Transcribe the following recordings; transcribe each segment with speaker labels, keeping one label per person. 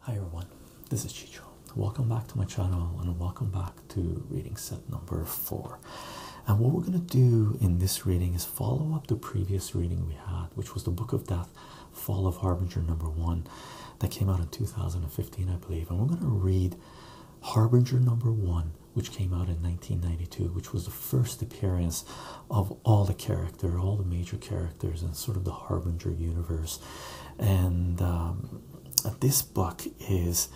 Speaker 1: Hi everyone, this is Chicho. Welcome back to my channel and welcome back to reading set number four. And what we're going to do in this reading is follow up the previous reading we had, which was the Book of Death, Fall of Harbinger number one, that came out in 2015, I believe. And we're going to read Harbinger number one, which came out in 1992, which was the first appearance of all the characters character, all the major characters, and sort of the Harbinger universe. And um, this book is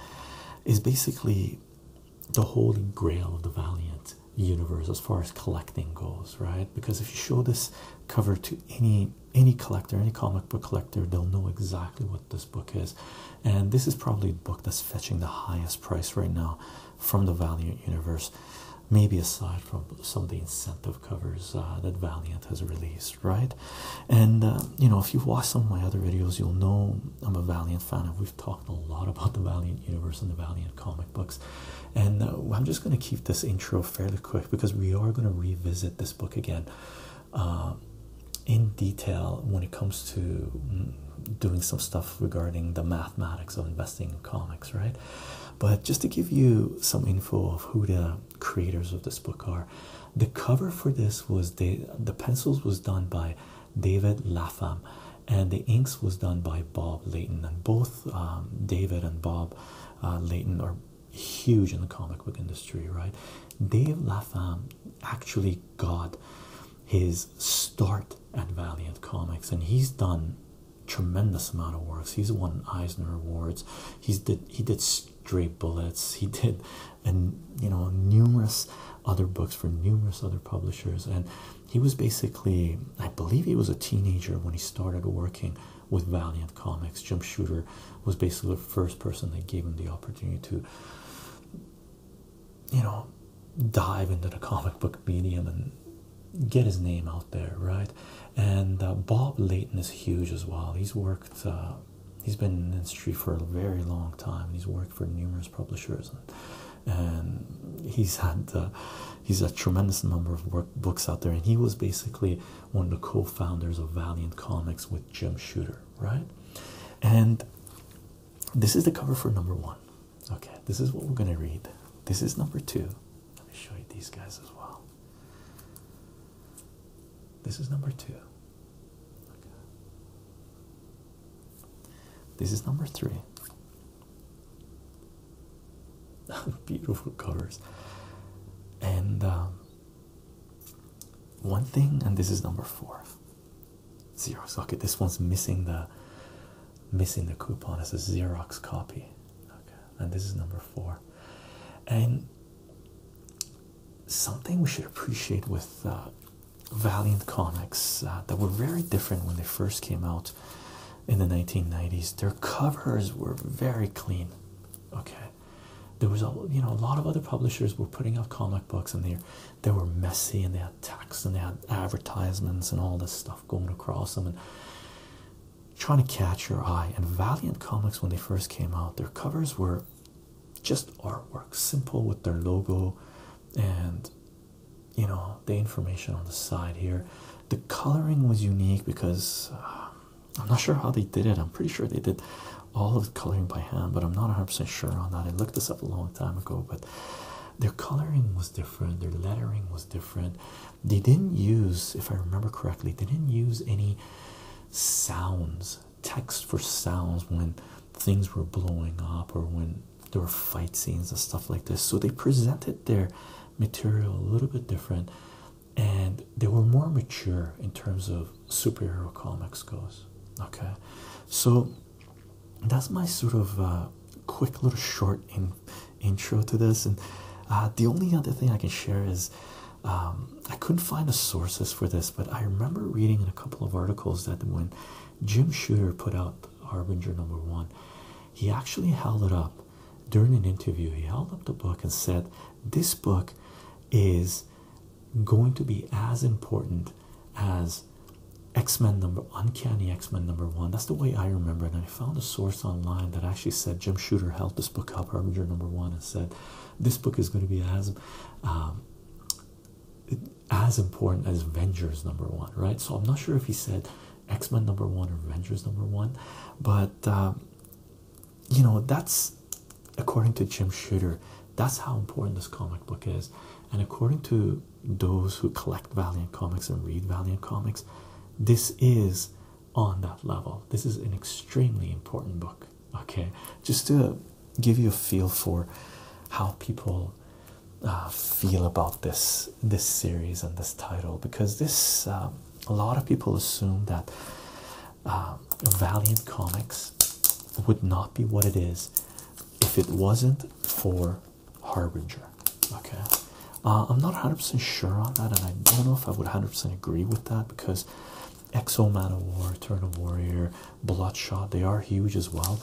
Speaker 1: is basically the holy grail of the Valiant universe as far as collecting goes, right? Because if you show this cover to any any collector, any comic book collector, they'll know exactly what this book is. And this is probably a book that's fetching the highest price right now from the Valiant universe, maybe aside from some of the incentive covers uh, that Valiant has released, right? And uh, you know, if you watch some of my other videos, you'll know I'm a Valiant fan, and we've talked a lot about the Valiant universe and the Valiant comic books. And uh, I'm just going to keep this intro fairly quick because we are going to revisit this book again in detail when it comes to mm, doing some stuff regarding the mathematics of investing in comics, right? But just to give you some info of who the creators of this book are. The cover for this was the the pencils was done by David Lapham, and the inks was done by Bob Leighton. And both um, David and Bob uh, Leighton are huge in the comic book industry, right? Dave Lapham actually got his start at Valiant Comics, and he's done tremendous amount of works. He's won Eisner Awards. He's did he did Straight Bullets. He did, and you know, numerous other books for numerous other publishers. And he was basically, I believe, he was a teenager when he started working with Valiant Comics. Jim Shooter was basically the first person that gave him the opportunity to, you know, dive into the comic book medium and get his name out there, right? and uh, Bob Layton is huge as well. He's worked, uh, he's been in the industry for a very long time. He's worked for numerous publishers, and, he's had uh, he's a tremendous number of books out there. And he was basically one of the co-founders of Valiant Comics with Jim Shooter, right? And this is the cover for number one. Okay, this is what we're gonna read. This is number two. Let me show you these guys as well. This is number two. This is number three. Beautiful covers. And um, one thing, and this is number four. Xerox. Okay, this one's missing the missing the coupon. It's a Xerox copy. Okay and this is number four. And something we should appreciate with uh, Valiant Comics uh, that were very different when they first came out in the 1990s. Their covers were very clean. Okay, there was a you know a lot of other publishers were putting out comic books and they they were messy and they had text and they had advertisements and all this stuff going across them trying to catch your eye. And Valiant Comics, when they first came out, their covers were just artwork, simple with their logo and you know the information on the side here. The coloring was unique because uh, I'm not sure how they did it. I'm pretty sure they did all of the coloring by hand, but I'm not 100% sure on that. I looked this up a long time ago, but their coloring was different, their lettering was different. They didn't use, if I remember correctly, they didn't use any sounds, text for sounds when things were blowing up or when there were fight scenes and stuff like this. So they presented their material a little bit different and they were more mature in terms of superhero comics goes. Okay, so that's my sort of uh, quick little short intro to this, and uh, the only other thing I can share is um, I couldn't find the sources for this, but I remember reading in a couple of articles that when Jim Shooter put out Harbinger number one, he actually held it up during an interview. He held up the book and said, This book is going to be as important as X-Men number uncanny X-Men number one. That's the way I remember it. And I found a source online that actually said Jim Shooter held this book up, Harbinger number one, and said, This book is going to be as um, as important as Avengers number one, right? So I'm not sure if he said X Men number one or Avengers number one, but um, you know, that's according to Jim Shooter, that's how important this comic book is. And according to those who collect Valiant comics and read Valiant comics, this is on that level. This is an extremely important book, okay? Just to give you a feel for how people uh, feel about this this series and this title, because this um, a lot of people assume that uh, Valiant Comics would not be what it is if it wasn't for Harbinger. Okay, uh, I'm not 100% sure on that, and I don't know if I would 100% agree with that because Exo Man of War, Turn of Warrior, Bloodshot, they are huge as well.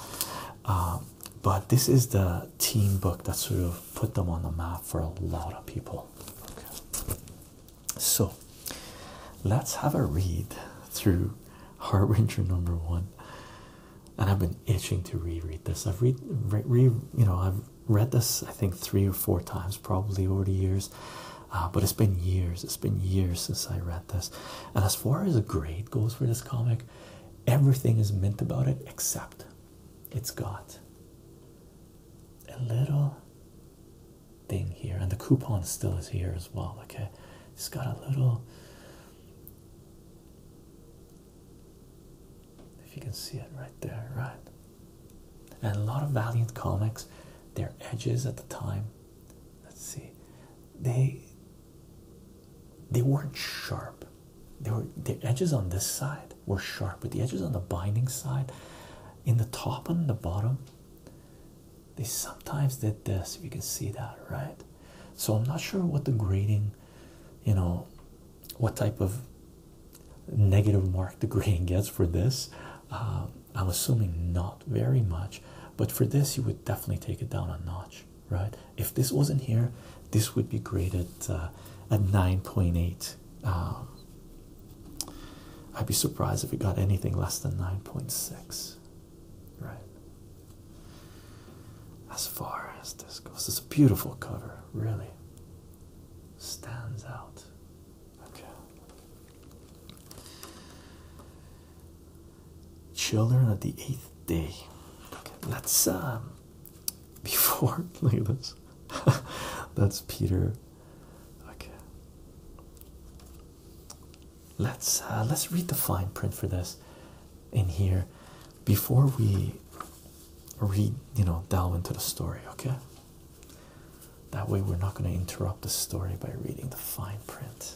Speaker 1: Uh, but this is the team book that sort of put them on the map for a lot of people. So let's have a read through Harbinger number one. And I've been itching to reread this. I've read, you know, I've read this I think three or four times probably over the years, uh, but it's been years. It's been years since I read this. And as far as a grade goes for this comic, everything is mint about it except it's got a little thing here, and the coupon still is here as well. Okay, it's got a little. If you can see it right there, right?
Speaker 2: and a lot of Valiant
Speaker 1: comics, their edges at the time, let's see, they they weren't sharp. They were the edges on this side were sharp, but the edges on the binding side, in the top and the bottom, they sometimes did this. If you can see that, right? So I'm not sure what the grading, you know, what type of negative mark the green gets for this. Uh, I'm assuming not very much, but for this, you would definitely take it down a notch, right? If this wasn't here, this would be graded uh, at 9.8. Um, I'd be surprised if it got anything less than 9.6, right? As far as this goes, this a beautiful cover, really stands out Okay. Children of the eighth day. Okay, let's um before look at this. That's Peter. Okay. Let's uh, let's read the fine print for this in here before we read, you know, delve into the story, okay? That way, we're not going to interrupt the story by reading the fine print.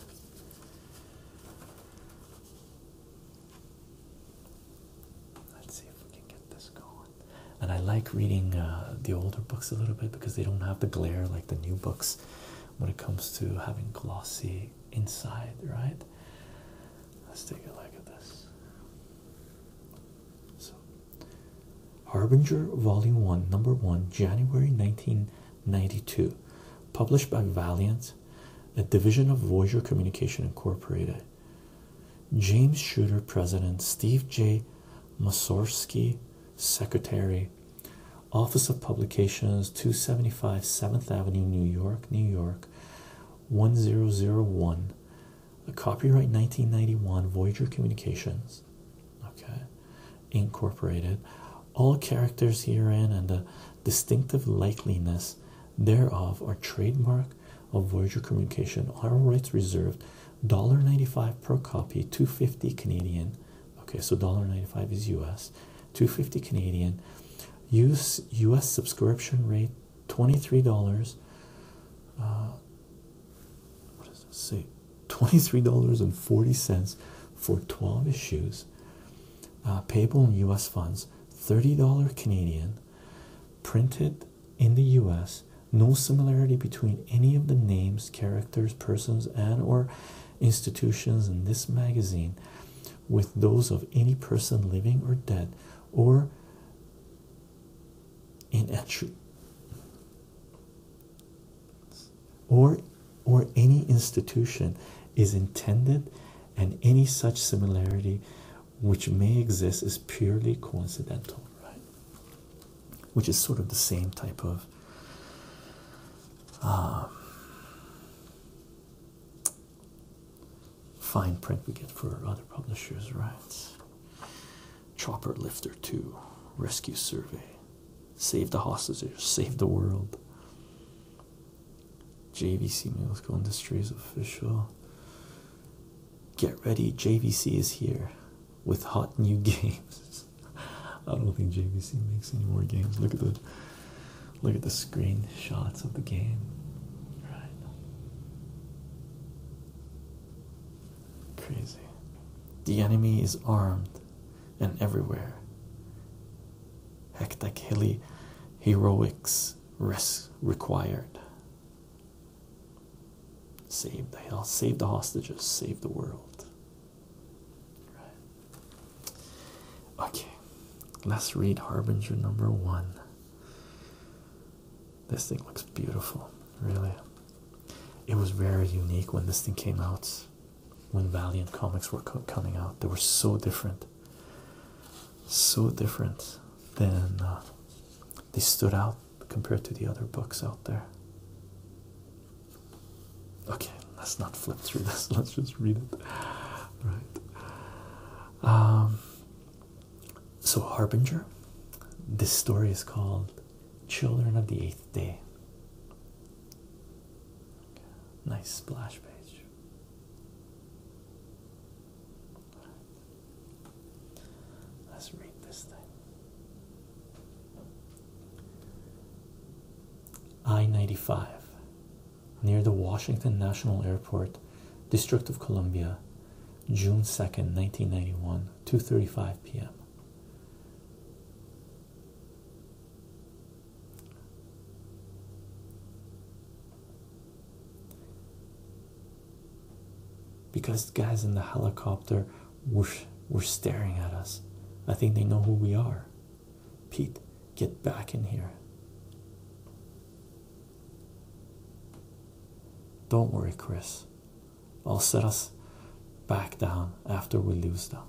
Speaker 1: Let's see if we can get this going. And I like reading uh, the older books a little bit because they don't have the glare like the new books when it comes to having glossy inside, right? Let's take a look at this. So Harbinger, Volume 1, Number 1, January 1992. Published by Valiant, a division of Voyager Communication Incorporated. James Shooter, President, Steve J. Masorsky, Secretary, Office of Publications, Two Seventy-five Seventh Avenue, New York, New York, 1001 a copyright 1991 Voyager Communications, okay, Incorporated. All characters herein and the distinctive likeliness thereof are trademark of Voyager Communication. All rights reserved. $1.95 per copy, 250 Canadian. Okay, so $1.95 is US, 250 Canadian. US US subscription rate $23. Uh, what does it say? $23.40 for 12 issues, uh, payable in US funds, $30 Canadian, printed in the US. No similarity between any of the names, characters, persons, and or institutions in this magazine with those of any person living or dead or in entry or or any institution is intended and any such similarity which may exist is purely coincidental right which is sort of the same type of um, fine print we get for other publishers right Chopper Lifter 2, Rescue Survey, Save the Hostages, Save the World. JVC Musical Industries Official. Get ready, JVC is here with hot new games. I don't think JVC makes any more games. Look at the look at the screenshots of the game. Right. Crazy. The enemy is armed and everywhere. Hectic hilly heroics risk required. Save the hell, save the hostages, save the world. Okay, let's read Harbinger number one. This thing looks beautiful, really. It was very unique when this thing came out. When Valiant comics were coming out, they were so different, so different than uh, they stood out compared to the other books out there. Okay, let's not flip through this, let's just read it. Right. Um, so, Harbinger, this story is called Children of the Eighth Day. Nice splash page. Let's read this thing. I 95 near the Washington National Airport, District of Columbia, June 2nd, 1991, 2:35 p.m. Because the guys in the helicopter were, were staring at us. I think they know who we are. Pete, get back in here. Don't worry, Chris. I'll set us back down after we lose them.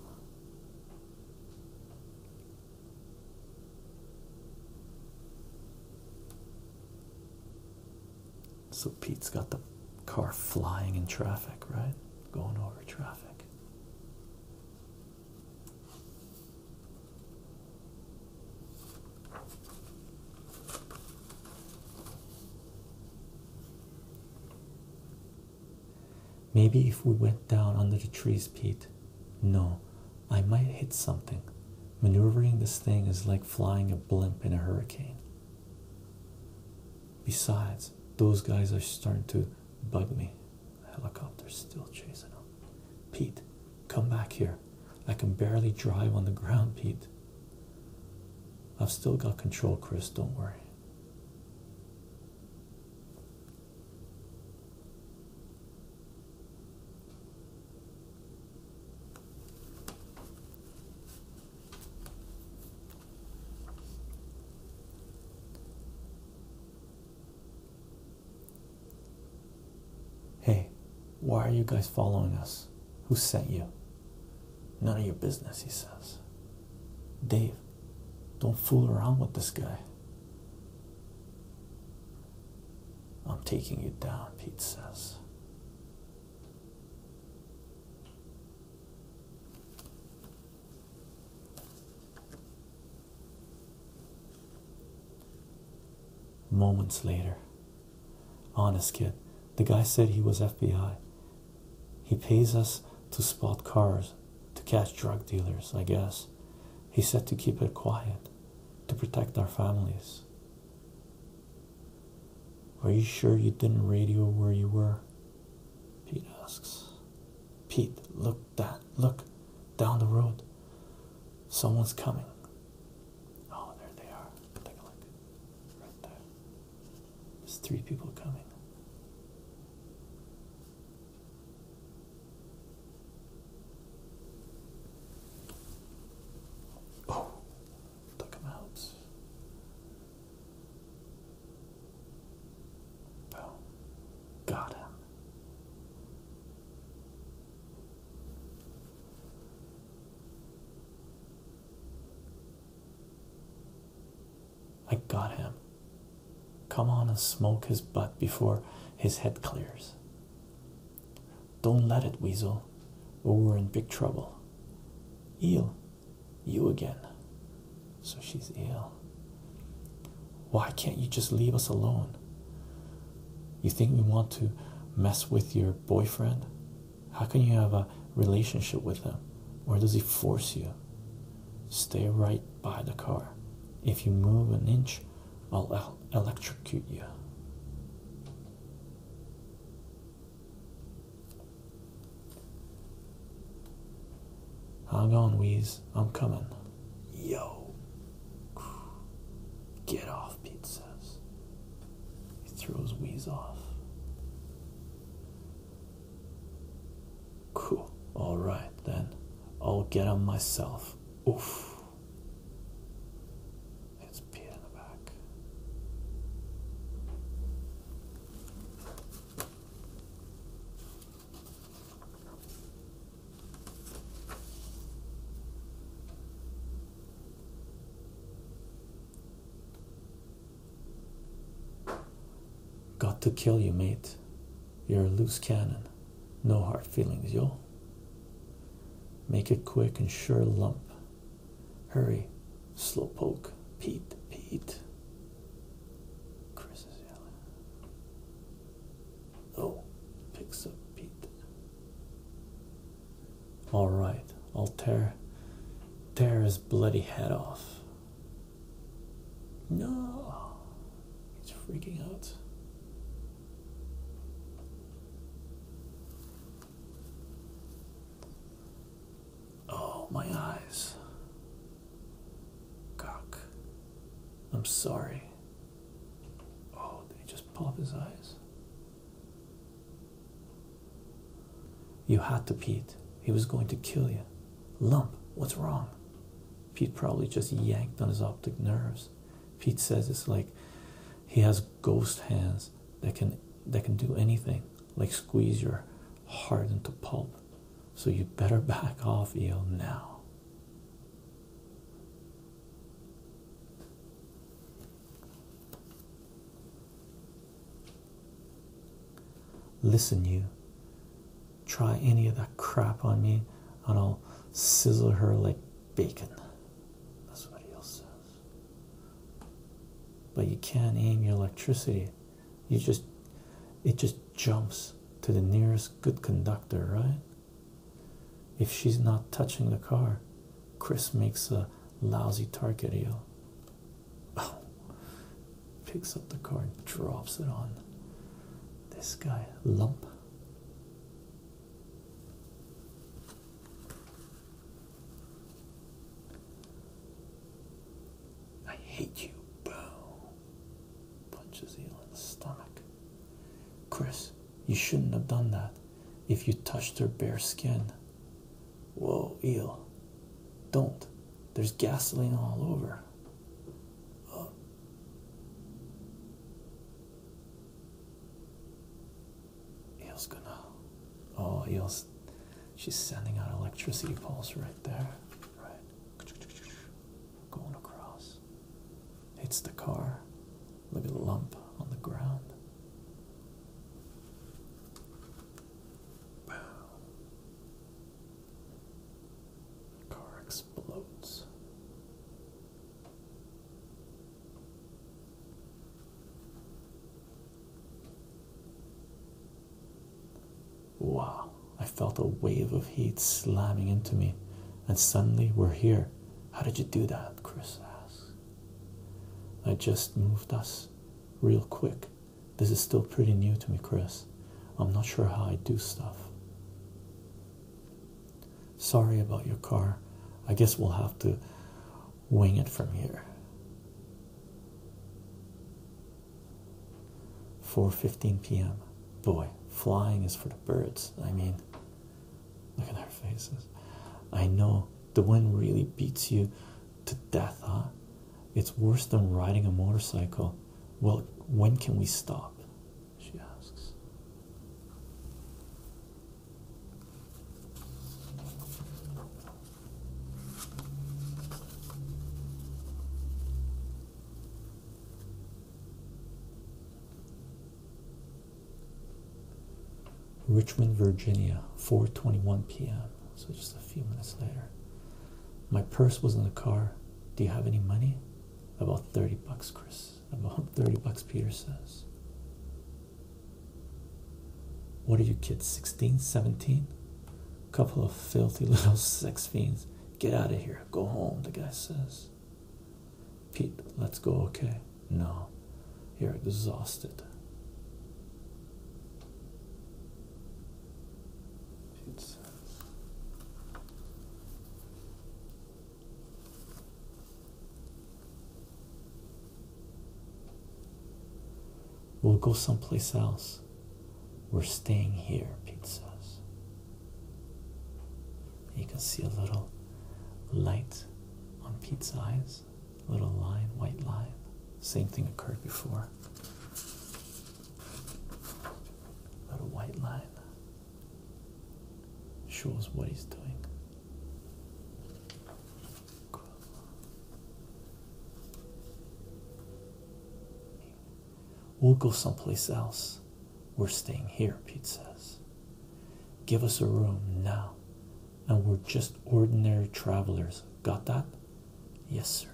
Speaker 1: So Pete's got the car flying in traffic, right? Going over traffic. Maybe if we went down under the trees, Pete. No, I might hit something. Maneuvering this thing is like flying a blimp in a hurricane. Besides, those guys are starting to bug me. The Helicopter's still chasing them. Pete, come back here. I can barely drive on the ground, Pete. I've still got control, Chris, don't worry. Hey, why are you guys following us? Who sent you? None of your business, he says. Dave, don't fool around with this guy. I'm taking you down, Pete says. Moments later, Honest kid. The guy said he was FBI. He pays us to spot cars, to catch drug dealers, I guess. He said to keep it quiet, to protect our families. Are you sure you didn't radio where you were? Pete asks. Pete, look that look down the road. Someone's coming. Oh, there they are. Take a look. Right there. There's three people coming. Oh, took him out. Boom. Got him. I got him. Come on and smoke his butt before his head clears. Don't let it, Weasel, we're in big trouble. Eel, you again. So she's eel. Why can't you just leave us alone? You think we want to mess with your boyfriend? How can you have a relationship with him? Or does he force you? Stay right by the car. If you move an inch, I'll electrocute you. Hang on, Wheeze. I'm coming. Yo. Get off, pizzas. He throws Wheeze off. Cool. All right, then I'll get on myself. Oof. It's Pete in the back. Got to kill you, mate. You're a loose cannon. No hard feelings, yo. Make it quick and sure lump. Hurry, slow poke. Pete, Pete. Chris is yelling. Oh, picks up Pete. All right, I'll tear tear his bloody head off. No, he's freaking out. Oh, my eyes. Cock. I'm sorry. Oh, did he just pop his eyes? You had to, Pete. He was going to kill you. Lump, what's wrong? Pete probably just yanked on his optic nerves. Pete says it's like he has ghost hands that can that can do anything, like squeeze your heart into pulp. So you better back off, EO, now. Listen, you. Try any of that crap on me, and I'll sizzle her like bacon. That's what he else says. But you can't aim your electricity. You just, it just jumps to the nearest good conductor, right? If she's not touching the car, Chris makes a lousy target deal. Oh. picks up the card, drops it on this guy, lump. I hate you, Bo. Punches Eel in the stomach. Chris, you shouldn't have done that. If you touched her bare skin, Whoa, eel. Don't. There's gasoline all over. Oh. Eel's gonna. Oh, eel's. She's sending out electricity pulse right there. Right. Going across. Hits the car. Look at the lump on the ground. Pow. Car explodes. Wow, I felt a wave of heat slamming into me, and suddenly we're here. How did you do that? Chris asked. I just moved us real quick this is still pretty new to me, Chris. I'm not sure how I do stuff. Sorry about your car. I guess we'll have to wing it from here. 4:15 p.m. Boy, flying is for the birds. I mean, look at our faces. I know the wind really beats you to death, huh? It's worse than riding a motorcycle. Well, when can we stop? She asks. Richmond, Virginia, 4:21 p.m. So just a few minutes later. My purse was in the car. Do you have any money? About 30 bucks, Chris. About 30 bucks, Peter says. What are you kids, 16, 17? Couple of filthy little sex fiends. Get out of here. Go home, the guy says. Pete, let's go, okay? No. You're exhausted. It's uh, We'll go someplace else. We're staying here, Pete says. You can see a little light on Pete's eyes little line, white line. Same thing occurred before. Little white line shows what he's doing. We'll go someplace else. We're staying here, Pete says. Give us a room now and we're just ordinary travelers. Got that? Yes, sir.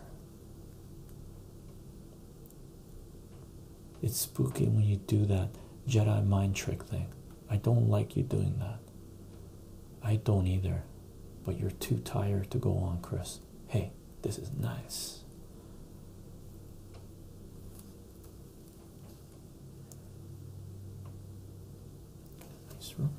Speaker 1: It's spooky when you do that Jedi mind trick thing. I don't like you doing that. I don't either. But you're too tired to go on, Chris. Hey, this is nice. Nice roll.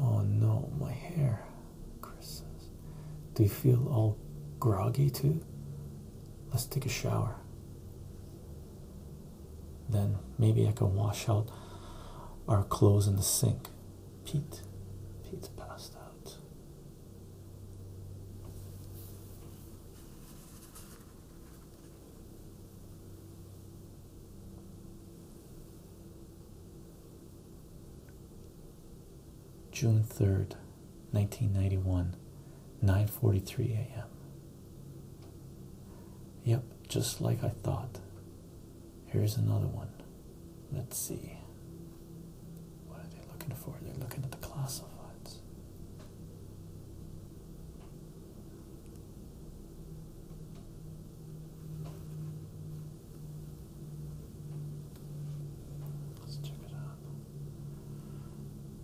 Speaker 1: Oh no, my hair. Chris says. Do you feel all groggy too? Let's take a shower. Then maybe I can wash out our clothes in the sink. Pete. Pete passed out. June 3rd, 1991, 9:43 a.m. Yep, just like I thought. Here's another one. Let's see. What are they looking for? They're looking at the classifieds. Let's check it out.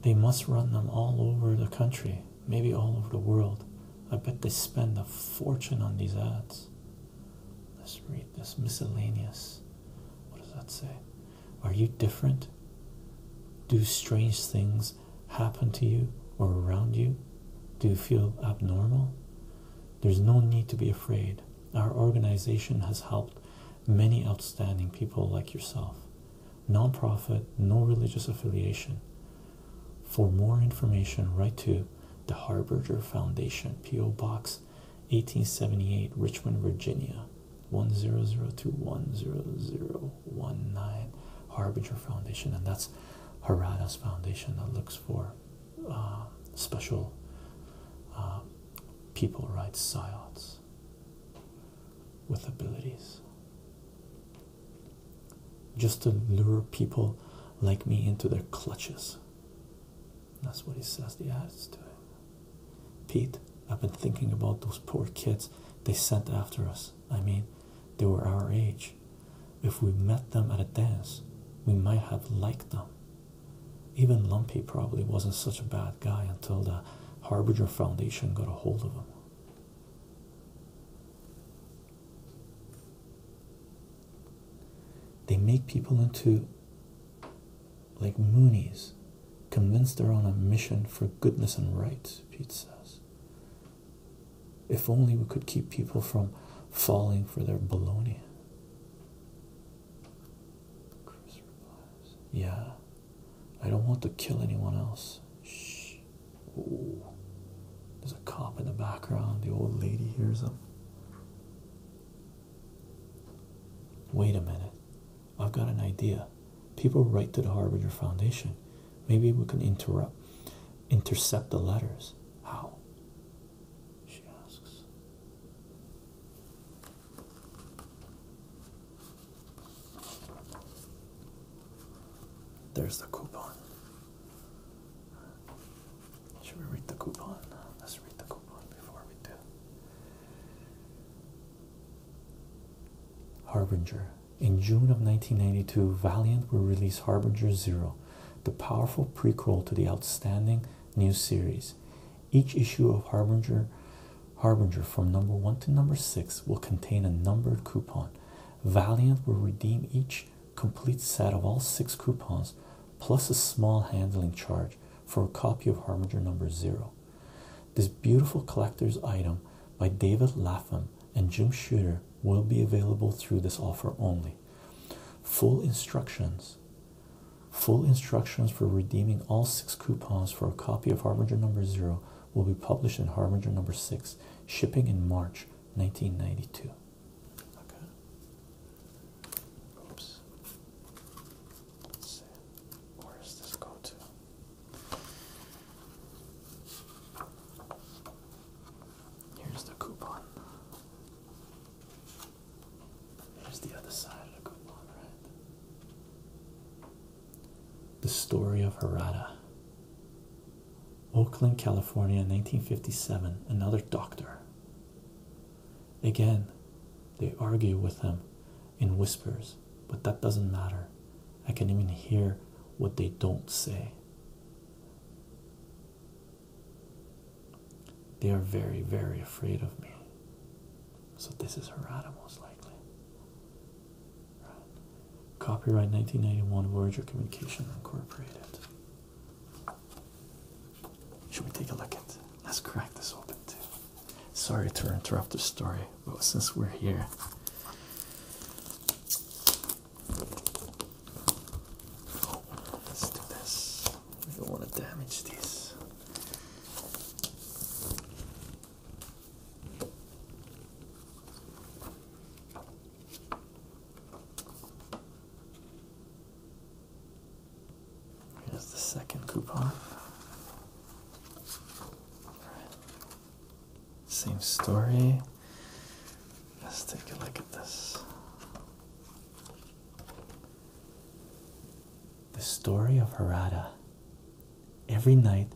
Speaker 1: They must run them all over the country, maybe all over the world. I bet they spend a fortune on these ads. Let's read this miscellaneous. What does that say? Are you different? Do strange things happen to you or around you? Do you feel abnormal? There's no need to be afraid. Our organization has helped many outstanding people like yourself. Nonprofit, no religious affiliation. For more information, write to the Harberger Foundation, P.O. Box 1878, Richmond, Virginia one zero zero two one zero zero one nine Harbinger Foundation, and that's Harada's foundation that looks for uh, special uh, people, right? Psyots with abilities, just to lure people like me into their clutches. That's what he says. The adds do. Pete, I've been thinking about those poor kids they sent after us. I mean, they were our age. If we met them at a dance, we might have liked them. Even Lumpy probably wasn't such a bad guy until the Harbinger Foundation got a hold of him. They make people into like Moonies, convinced they're on a mission for goodness and right, Pete says. If only we could keep people from falling for their baloney. Chris replies, Yeah, I don't want to kill anyone else. Shh. Ooh. There's a cop in the background. The old lady hears him. Wait a minute, I've got an idea. People write to the Harbinger Foundation. Maybe we can interrupt, intercept the letters. How? She asks. There's the coupon. Should we read the coupon? Let's read the coupon before we do. Harbinger. In June of 1992, Valiant will release Harbinger Zero, the powerful prequel to the outstanding new series. Each issue of Harbinger, Harbinger from number 1 to number 6 will contain a numbered coupon. Valiant will redeem each complete set of all six coupons plus a small handling charge for a copy of Harbinger number 0. This beautiful collector's item by David Latham and Jim Shooter will be available through this offer only. Full instructions. Full instructions for redeeming all six coupons for a copy of Harbinger Number Zero will be published in Harbinger Number Six, shipping in March 1992. Okay. Oops. Where does this go to? Here's the coupon. Here's the other side of the coupon, right? The story of Harada. Oakland, California, 1957. Another doctor. Again, they argue with him in whispers, but that doesn't matter. I can even hear what they don't say. They are very, very afraid of me. So this is Harada most likely. Copyright 1991 Voyager Communication Incorporated. Should we take a look at? Let's crack this open too. Sorry to interrupt the story, but since we're here, let's do this. We don't want to damage this. Here's the second coupon. Same story. Let's take a look at this. The story of Harada. Every night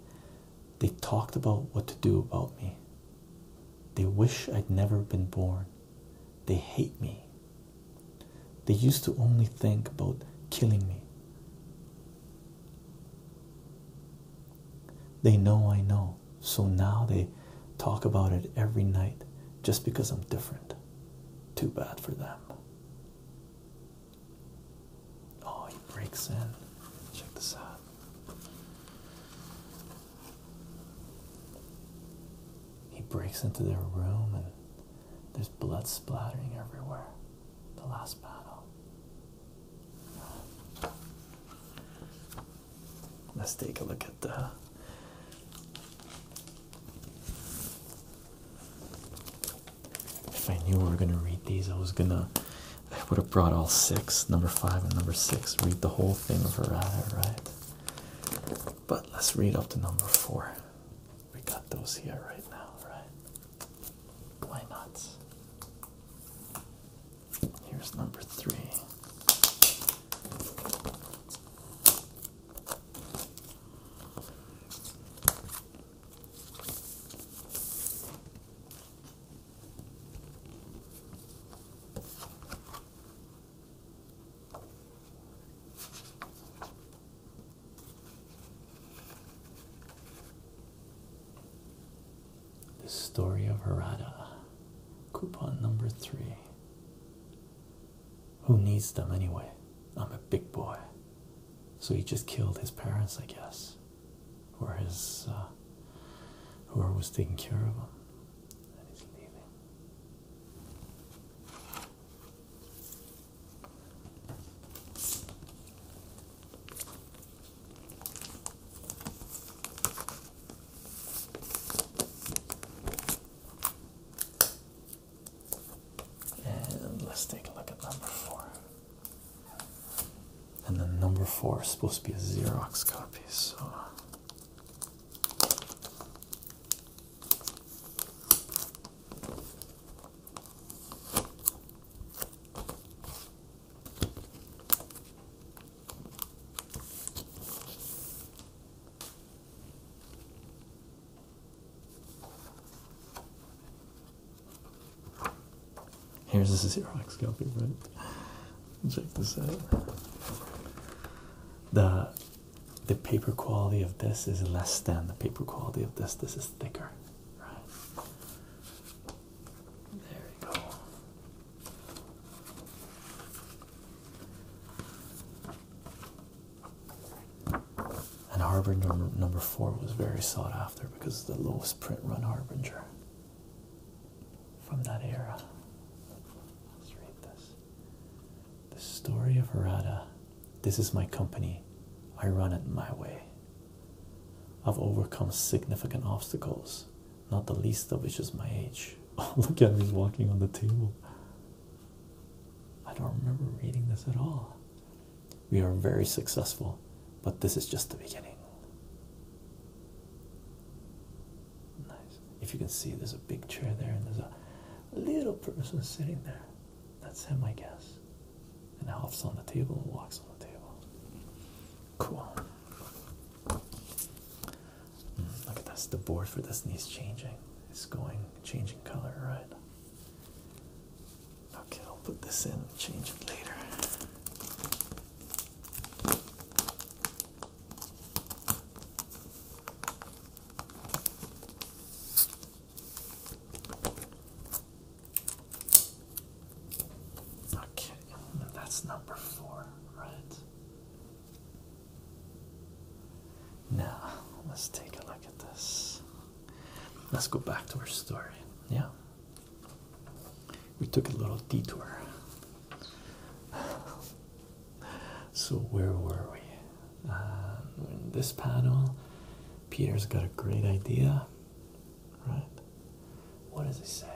Speaker 1: they talked about what to do about me. They wish I'd never been born. They hate me. They used to only think about killing me. They know I know, so now they talk about it every night just because I'm different. Too bad for them. Oh, he breaks in. Check this out. He breaks into their room and there's blood splattering everywhere. The last battle. Let's take a look at the if I knew we were gonna read these, I was gonna I would have brought all six, number five and number six, read the whole thing of errata, right? But let's read up to number four. We got those here right now, right? Why not? Here's number three. The Story of Harada. Coupon number three. Who needs them anyway? I'm a big boy. So he just killed his parents, I guess. Or his, uh, whoever was taking care of him. And he's leaving. And let's take a look at number four. And then number four is supposed to be a Xerox copy, so. Here's this Xerox copy, right? Check this out. The the paper quality of this is less than the paper quality of this. This is thicker. Right. There we go. And Harbinger number four was very sought after because the lowest print run Harbinger from that era. Let's read this. The story of Harada this is my company. I run it my way. I've overcome significant obstacles, not the least of which is my age. Oh, look at me walking on the table. I don't remember reading this at all. We are very successful, but this is just the beginning. Nice. If you can see, there's a big chair there, and there's a little person sitting there. That's him, I guess and hops on the table and walks on the table. Cool. Hmm, look at this. The board for this needs changing. It's going changing color, right? Okay, I'll put this in and change it later. Okay, that's number four, right? Now, let's take a look at this. Let's go back to our story. Yeah. We took a little detour. so, where were we? Uh, in this panel, Peter's got a great idea, right? What does he say?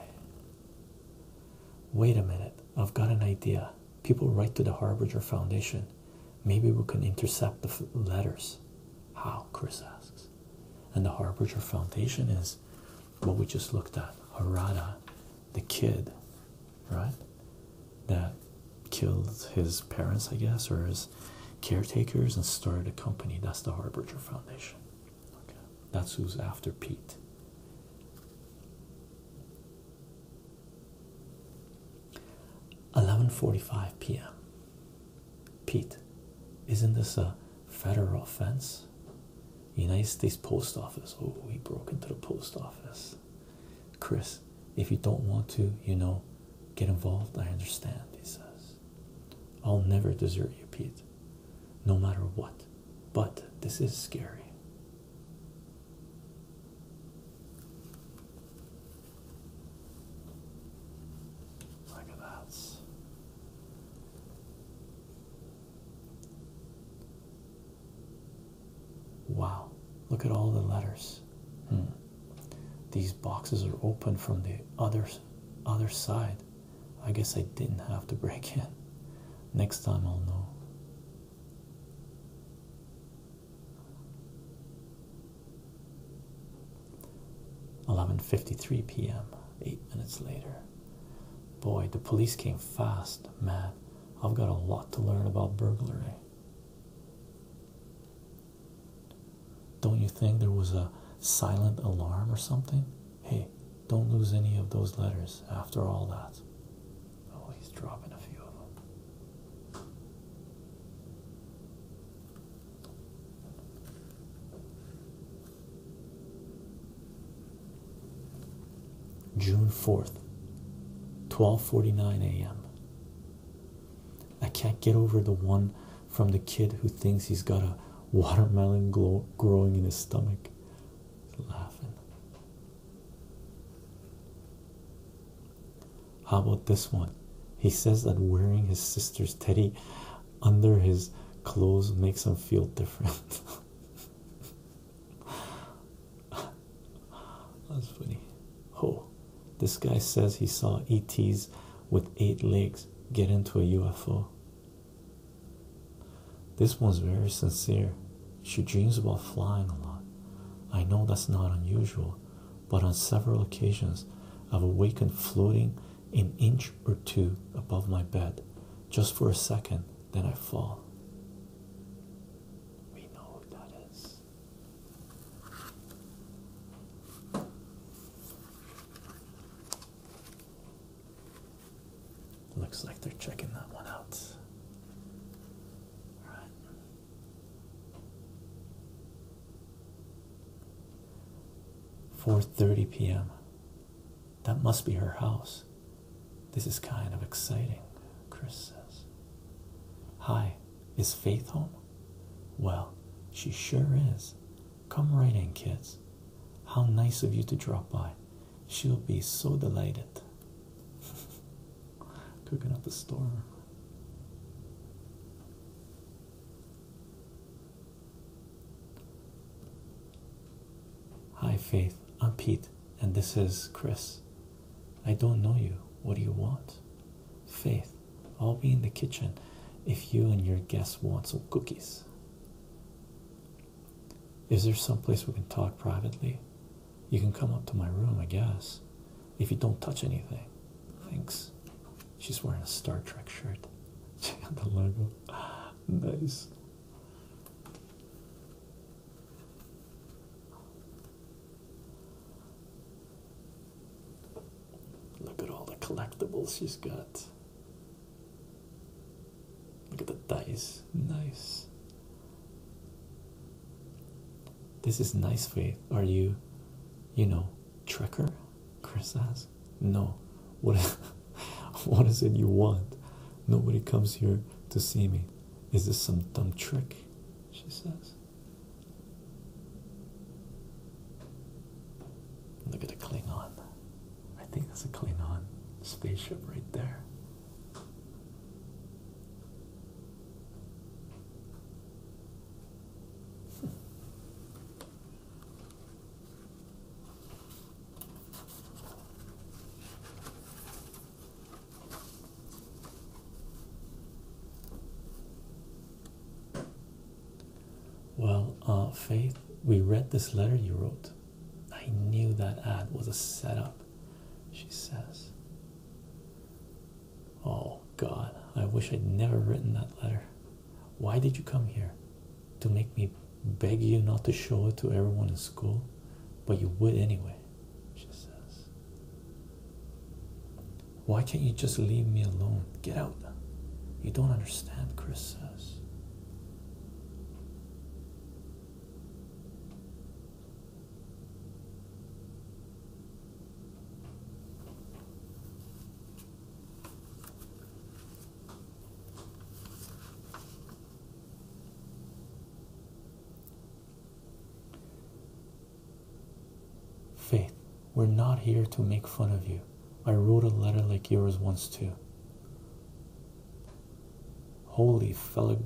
Speaker 1: Wait a minute, I've got an idea. People write to the Harbinger Foundation. Maybe we can intercept the letters. How? Chris asks. And the Harbinger Foundation is what we just looked at Harada, the kid, right? That killed his parents, I guess, or his caretakers and started a company. That's the Harbinger Foundation. That's who's after Pete. Eleven forty-five p.m. Pete, isn't this a federal offense? United States Post Office. Oh, we broke into the post office. Chris, if you don't want to, you know, Get involved, I understand, he says. I'll never desert you, Pete, no matter what. But this is scary. Look at that. Wow, look at all the letters. Hmm. These boxes are open from the other other side. I guess I didn't have to break in. Next time I'll know. Eleven fifty three p.m. Eight minutes later. Boy, the police came fast. Man, I've got a lot to learn about burglary. Don't you think there was a silent alarm or something? Hey, don't lose any of those letters after all that. Oh, he's dropping a few of them. June 4th, 12:49 a.m. I can't get over the one from the kid who thinks he's got a watermelon growing in his stomach. laughing. How about this one? He says that wearing his sister's teddy under his clothes makes him feel different. That's funny. Oh, this guy says he saw ETs with eight legs get into a UFO. This one's very sincere. She dreams about flying a lot. I know that's not unusual, but on several occasions I've awakened floating an inch or two above my bed just for a second, then I fall. We know who that is. Looks like they're checking that one out. All right. Four thirty p.m. That must be her house. This is kind of exciting, Chris says. Hi, is Faith home? Well, she sure is. Come right in, kids. How nice of you to drop by. She'll be so delighted. Cooking up a storm. Hi, Faith. I'm Pete, and this is Chris. I don't know you. What do you want? Faith. I'll be in the kitchen if you and your guests want some cookies. Is there someplace we can talk privately? You can come up to my room, I guess, if you don't touch anything. Thanks. She's wearing a Star Trek shirt. Check out the logo. Nice. Look at all the collectibles she's got. Look at the dice. Nice. This is nice, Faith. Are you, you know, trekker? Chris asks. No. what is it you want? Nobody comes here to see me. Is this some dumb trick? She says. Look at the Klingon. I think that's a Klingon spaceship right there. Well, uh, Faith, we read this letter you wrote. I knew that ad was a setup, she says. Oh, God, I wish I'd never written that letter. Why did you come here? To make me beg you not to show it to everyone in school? But you would anyway, she says. Why can't you just leave me alone? Get out. You don't understand, Chris says. Faith, we're not here to make fun of you. I wrote a letter like yours once too. Holy fella,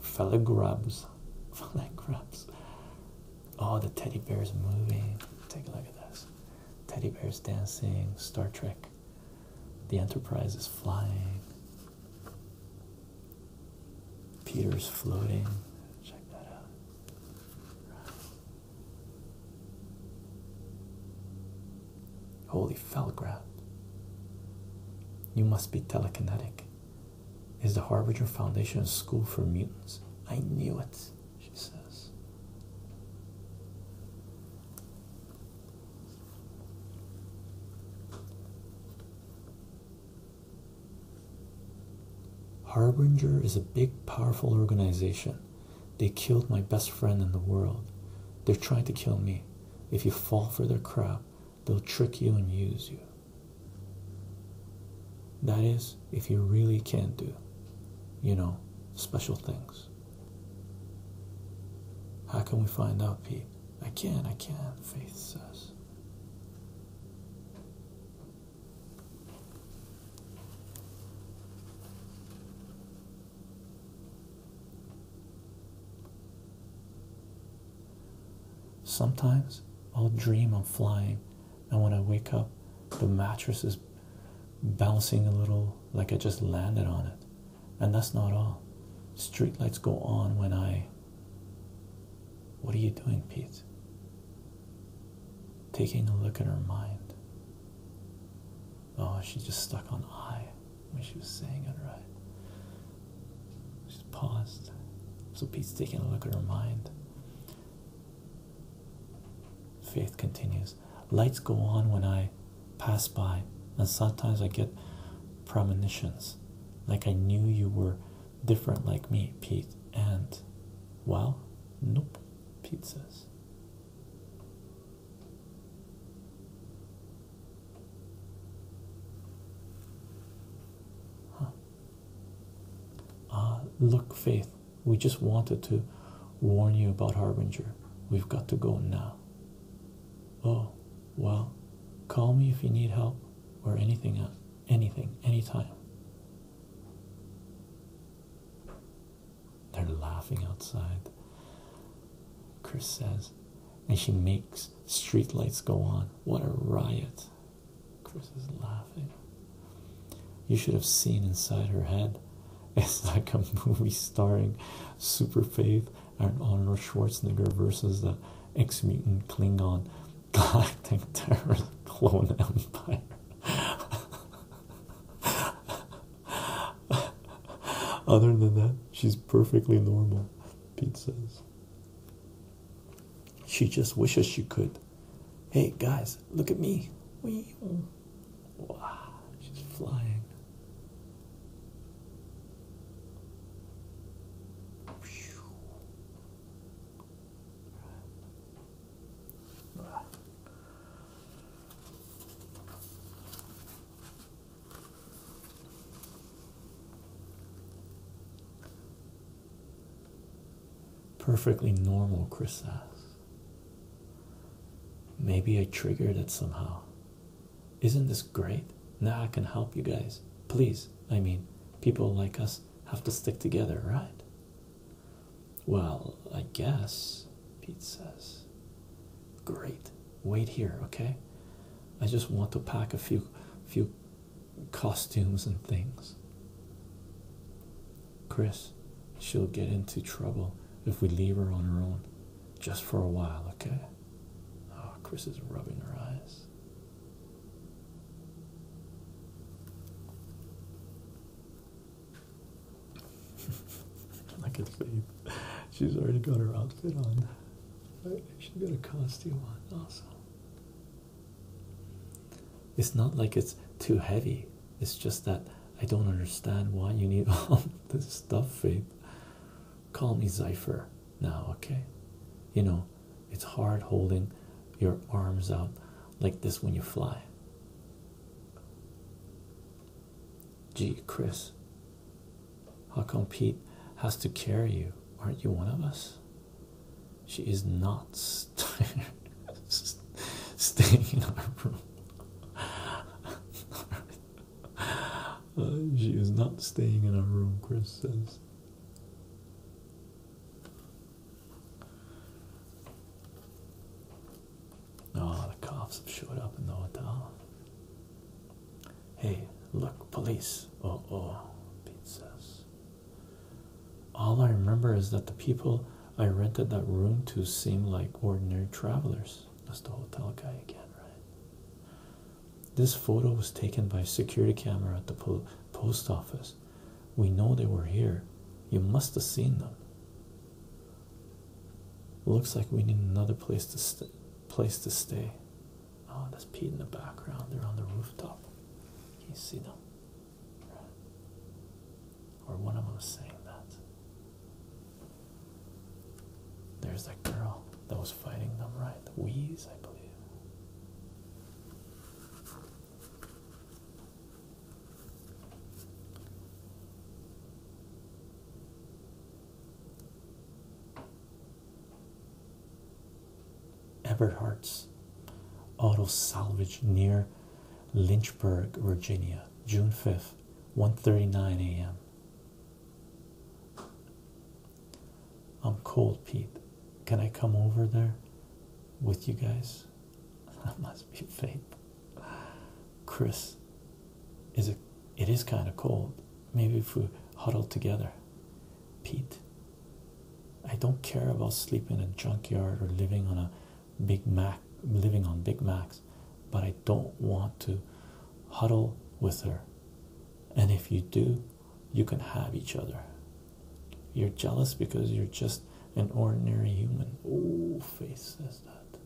Speaker 1: fella grubs, fella grubs. Oh, the teddy bears moving. Take a look at this. Teddy bears dancing. Star Trek. The Enterprise is flying. Peter's floating. Check that out. Holy Felgrab. You must be telekinetic. Is the Harbinger Foundation a school for mutants? I knew it, she says. Harbinger is a big, powerful organization. They killed my best friend in the world. They're trying to kill me. If you fall for their crap, they'll trick you and use you. That is, if you really can do, you know, special things. How can we find out, Pete? I can, I can, Faith says. Sometimes I'll dream I'm flying, and when I wake up, the mattress is bouncing a little like I just landed on it. And that's not all. Streetlights go on when I. What are you doing, Pete? Taking a look at her mind. Oh, she's just stuck on I when she was saying it right. she paused. So Pete's taking a look at her mind. Faith continues. Lights go on when I pass by, and sometimes I get premonitions. Like I knew you were different like me, Pete. And, well, nope pizzas. Uh, look, Faith, we just wanted to warn you about Harbinger. We've got to go now. Oh, well, call me if you need help or anything, uh, anything, anytime. They're laughing outside. Chris says, and she makes streetlights go on. What a riot! Chris is laughing. You should have seen inside her head. It's like a movie starring Super Faith and Arnold Schwarzenegger versus the ex mutant Klingon galactic terror clone empire. Other than that, she's perfectly normal, Pete says. She just wishes she could. Hey guys, look at me. she's flying. Perfectly normal, Chris asks. Maybe I triggered it somehow. Isn't this great? Now I can help you guys. Please, I mean, people like us have to stick together, right? Well, I guess, Pete says. Great. Wait here, okay? I just want to pack a few few costumes and things. Chris, she'll get into trouble if we leave her on her own. Just for a while, okay? Oh, Chris is rubbing her eyes. Look at Faith. She's already got her outfit on. She's got a costume on also. It's not like it's too heavy. It's just that I don't understand why you need all this stuff, Faith. Call me Ziffer now, okay? You know, it's hard holding your arms out like this when you fly. Gee, Chris, how come Pete has to carry you? Aren't you one of us? She is not staying in our room. she is not staying in our room, Chris says. Oh, the cops have showed up in the hotel. Hey, look, police. Oh, oh, Pete says. All I remember is that the people I rented that room to seemed like ordinary travelers. That's the hotel guy again, right? This photo was taken by a security camera at the post office. We know they were here. You must have seen them. Looks like we need another place to st place to stay. Oh, that's Pete in the background. They're on the rooftop. Can you see them? Or one of them is saying that. There's that girl that was fighting them, right? The Wheeze, I believe. Eberhard's Auto Salvage near Lynchburg, Virginia, June 5th, 1:39 a.m. I'm cold, Pete. Can I come over there with you guys? That must be fake. Chris, is it? It is kind of cold. Maybe if we huddle together. Pete, I don't care about sleeping in a junkyard or living on a Big Mac, living on Big Macs, but I don't want to huddle with her. And if you do, you can have each other. You're jealous because you're just an ordinary human. Oh, face says that.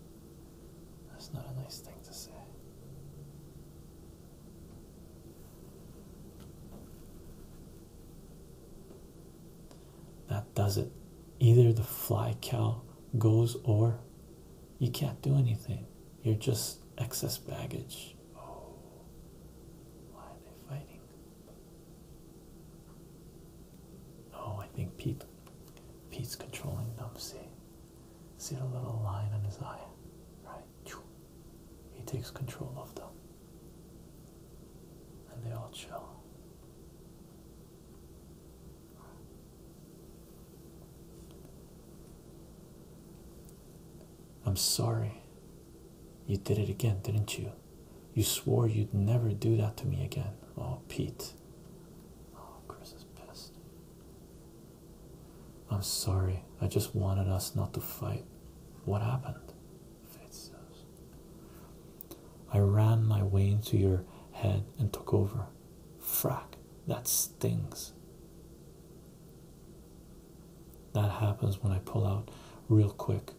Speaker 1: That's not a nice thing to say. That does it. Either the fly cow goes or you can't do anything. You're just excess baggage. Oh, why are they fighting? Oh, I think Pete Pete's controlling them. See? the little line in his eye? Right? He takes control of them. And they all chill. I'm sorry. You did it again, didn't you? You swore you'd never do that to me again. Oh, Pete. Oh, Chris is pissed. I'm sorry. I just wanted us not to fight. What happened? I ran my way into your head and took over. Frack, that stings. That happens when I pull out real quick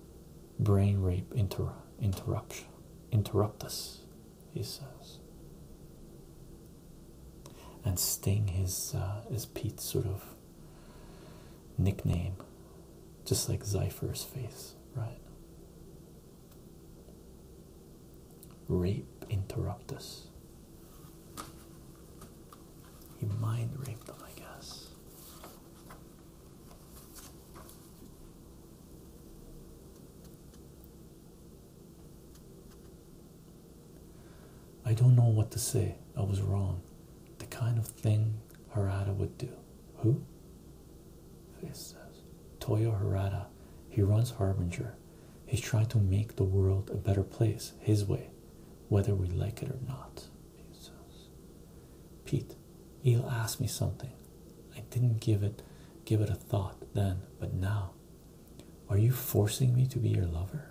Speaker 1: brain rape inter interruption interrupt us he says and sting his uh, is pete's sort of nickname just like Zypher's face right rape interrupt us he mind raped them i guess I don't know what to say. I was wrong. The kind of thing Harada would do. Who? Face says. Toyo Harada. He runs Harbinger. He's trying to make the world a better place his way, whether we like it or not. Pete says. Pete, he'll ask me something. I didn't give it give it a thought then, but now. Are you forcing me to be your lover?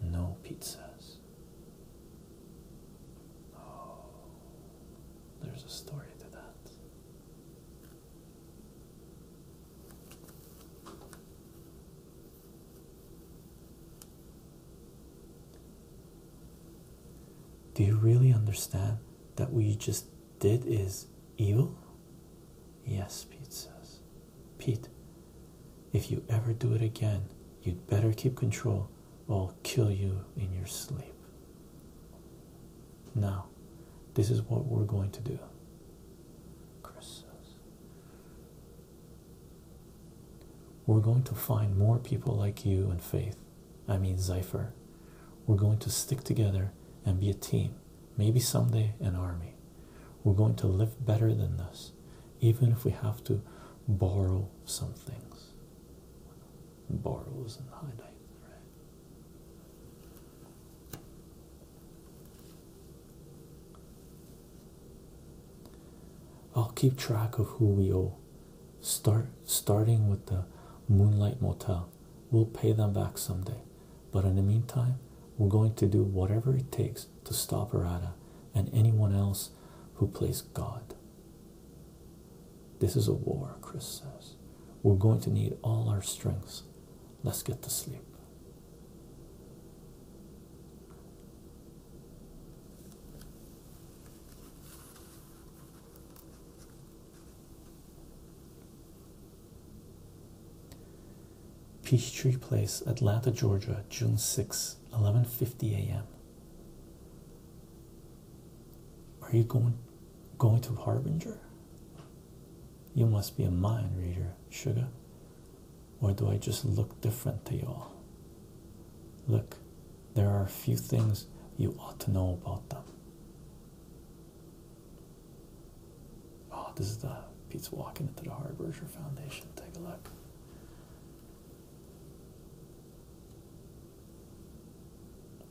Speaker 1: No, Pete says. Oh, there's a story to that. Do you really understand that what you just did is evil? Yes, Pete says. Pete, if you ever do it again, you'd better keep control or I'll kill you in your sleep. Now, this is what we're going to do. Chris says. We're going to find more people like you and Faith I mean, Zypher. We're going to stick together and be a team, maybe someday an army. We're going to live better than this, even if we have to borrow some things. Borrow is not highlight, right? I'll keep track of who we owe. Start starting with the Moonlight Motel. We'll pay them back someday. But in the meantime, we're going to do whatever it takes to stop Arata and anyone else who plays God. This is a war, Chris says. We're going to need all our strengths. Let's get to sleep. Peachtree Place, Atlanta, Georgia, June 6, 11:50 a.m. Are you going going to Harbinger? You must be a mind reader, sugar. Or do I just look different to y'all? Look, there are a few things you ought to know about them. Oh, this is the Pete's walking into the Hardwisher Foundation. Take a look.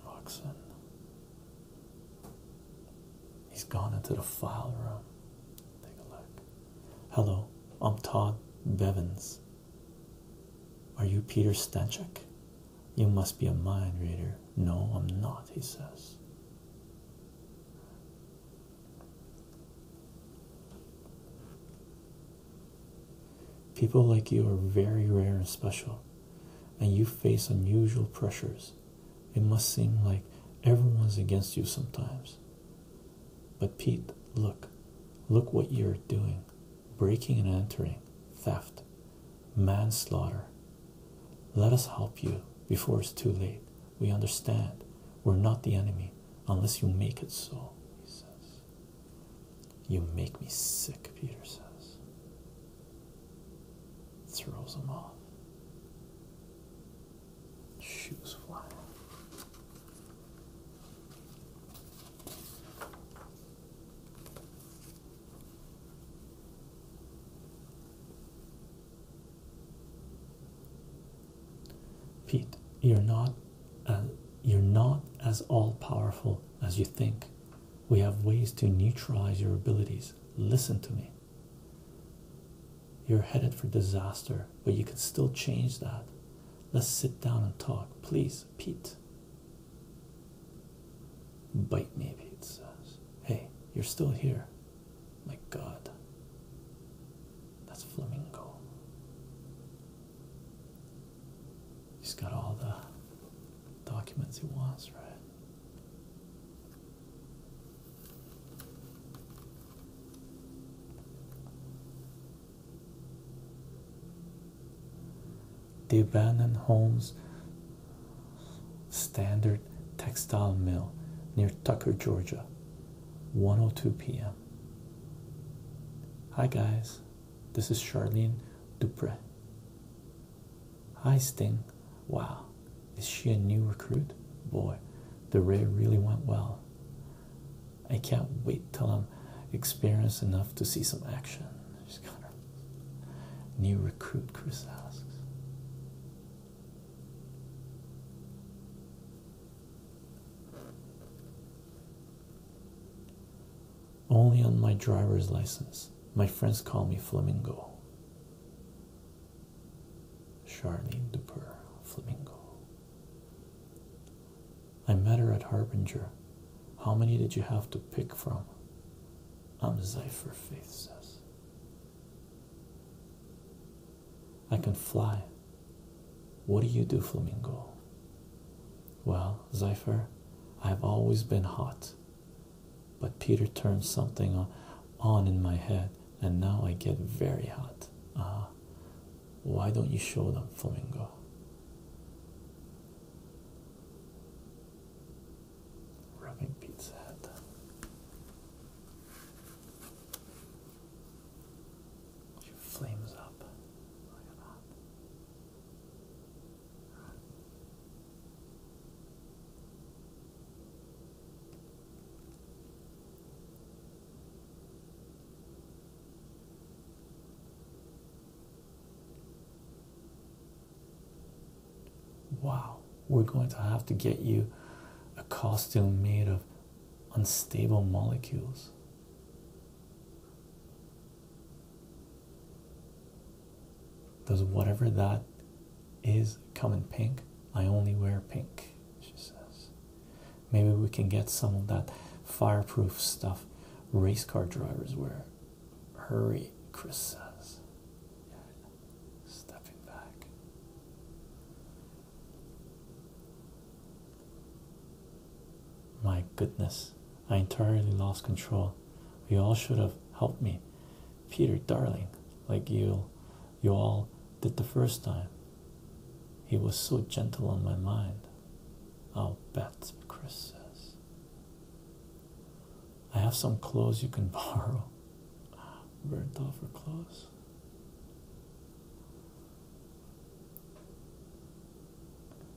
Speaker 1: Roxanne. He's gone into the file room. Take a look. Hello, I'm Todd Bevins. Are you Peter Stanchek? You must be a mind reader. No, I'm not, he says. People like you are very rare and special, and you face unusual pressures. It must seem like everyone's against you sometimes. But Pete, look, look what you're doing breaking and entering, theft, manslaughter. Let us help you before it's too late. We understand we're not the enemy unless you make it so, he says. You make me sick, Peter says. Throws him off. Shoes flying. Pete, you're not uh, you're not as all-powerful as you think. We have ways to neutralize your abilities. Listen to me. You're headed for disaster, but you can still change that. Let's sit down and talk, please, Pete. Bite, maybe it says. Hey, you're still here. My God. That's Flamingo. He's got all the documents he wants, right? The abandoned Holmes standard textile mill near Tucker, Georgia. 102 p.m. Hi guys, this is Charlene Dupre. Hi Sting. Wow, is she a new recruit? Boy, the raid really went well. I can't wait till I'm experienced enough to see some action. She's kind of new recruit, Chris asks. Only on my driver's license. My friends call me Flamingo. Charlene Duper, Flamingo. I met her at Harbinger. How many did you have to pick from? I'm Zephyr, Faith says. I can fly. What do you do, Flamingo? Well, Zephyr, I've always been hot. But Peter turned something on in my head, and now I get very hot. Ah, why don't you show them, Flamingo? Rubbing Pizza head, She flames up. Wow, we're going to have to get you a costume made of unstable molecules. Does whatever that is come in pink? I only wear pink, she says. Maybe we can get some of that fireproof stuff race car drivers wear Hurry, Chris says. stepping back. My goodness, I entirely lost control. You all should have helped me. Peter, darling, like you you all did the first time. He was so gentle on my mind. I'll bet, Chris says. I have some clothes you can borrow. Burnt off her clothes.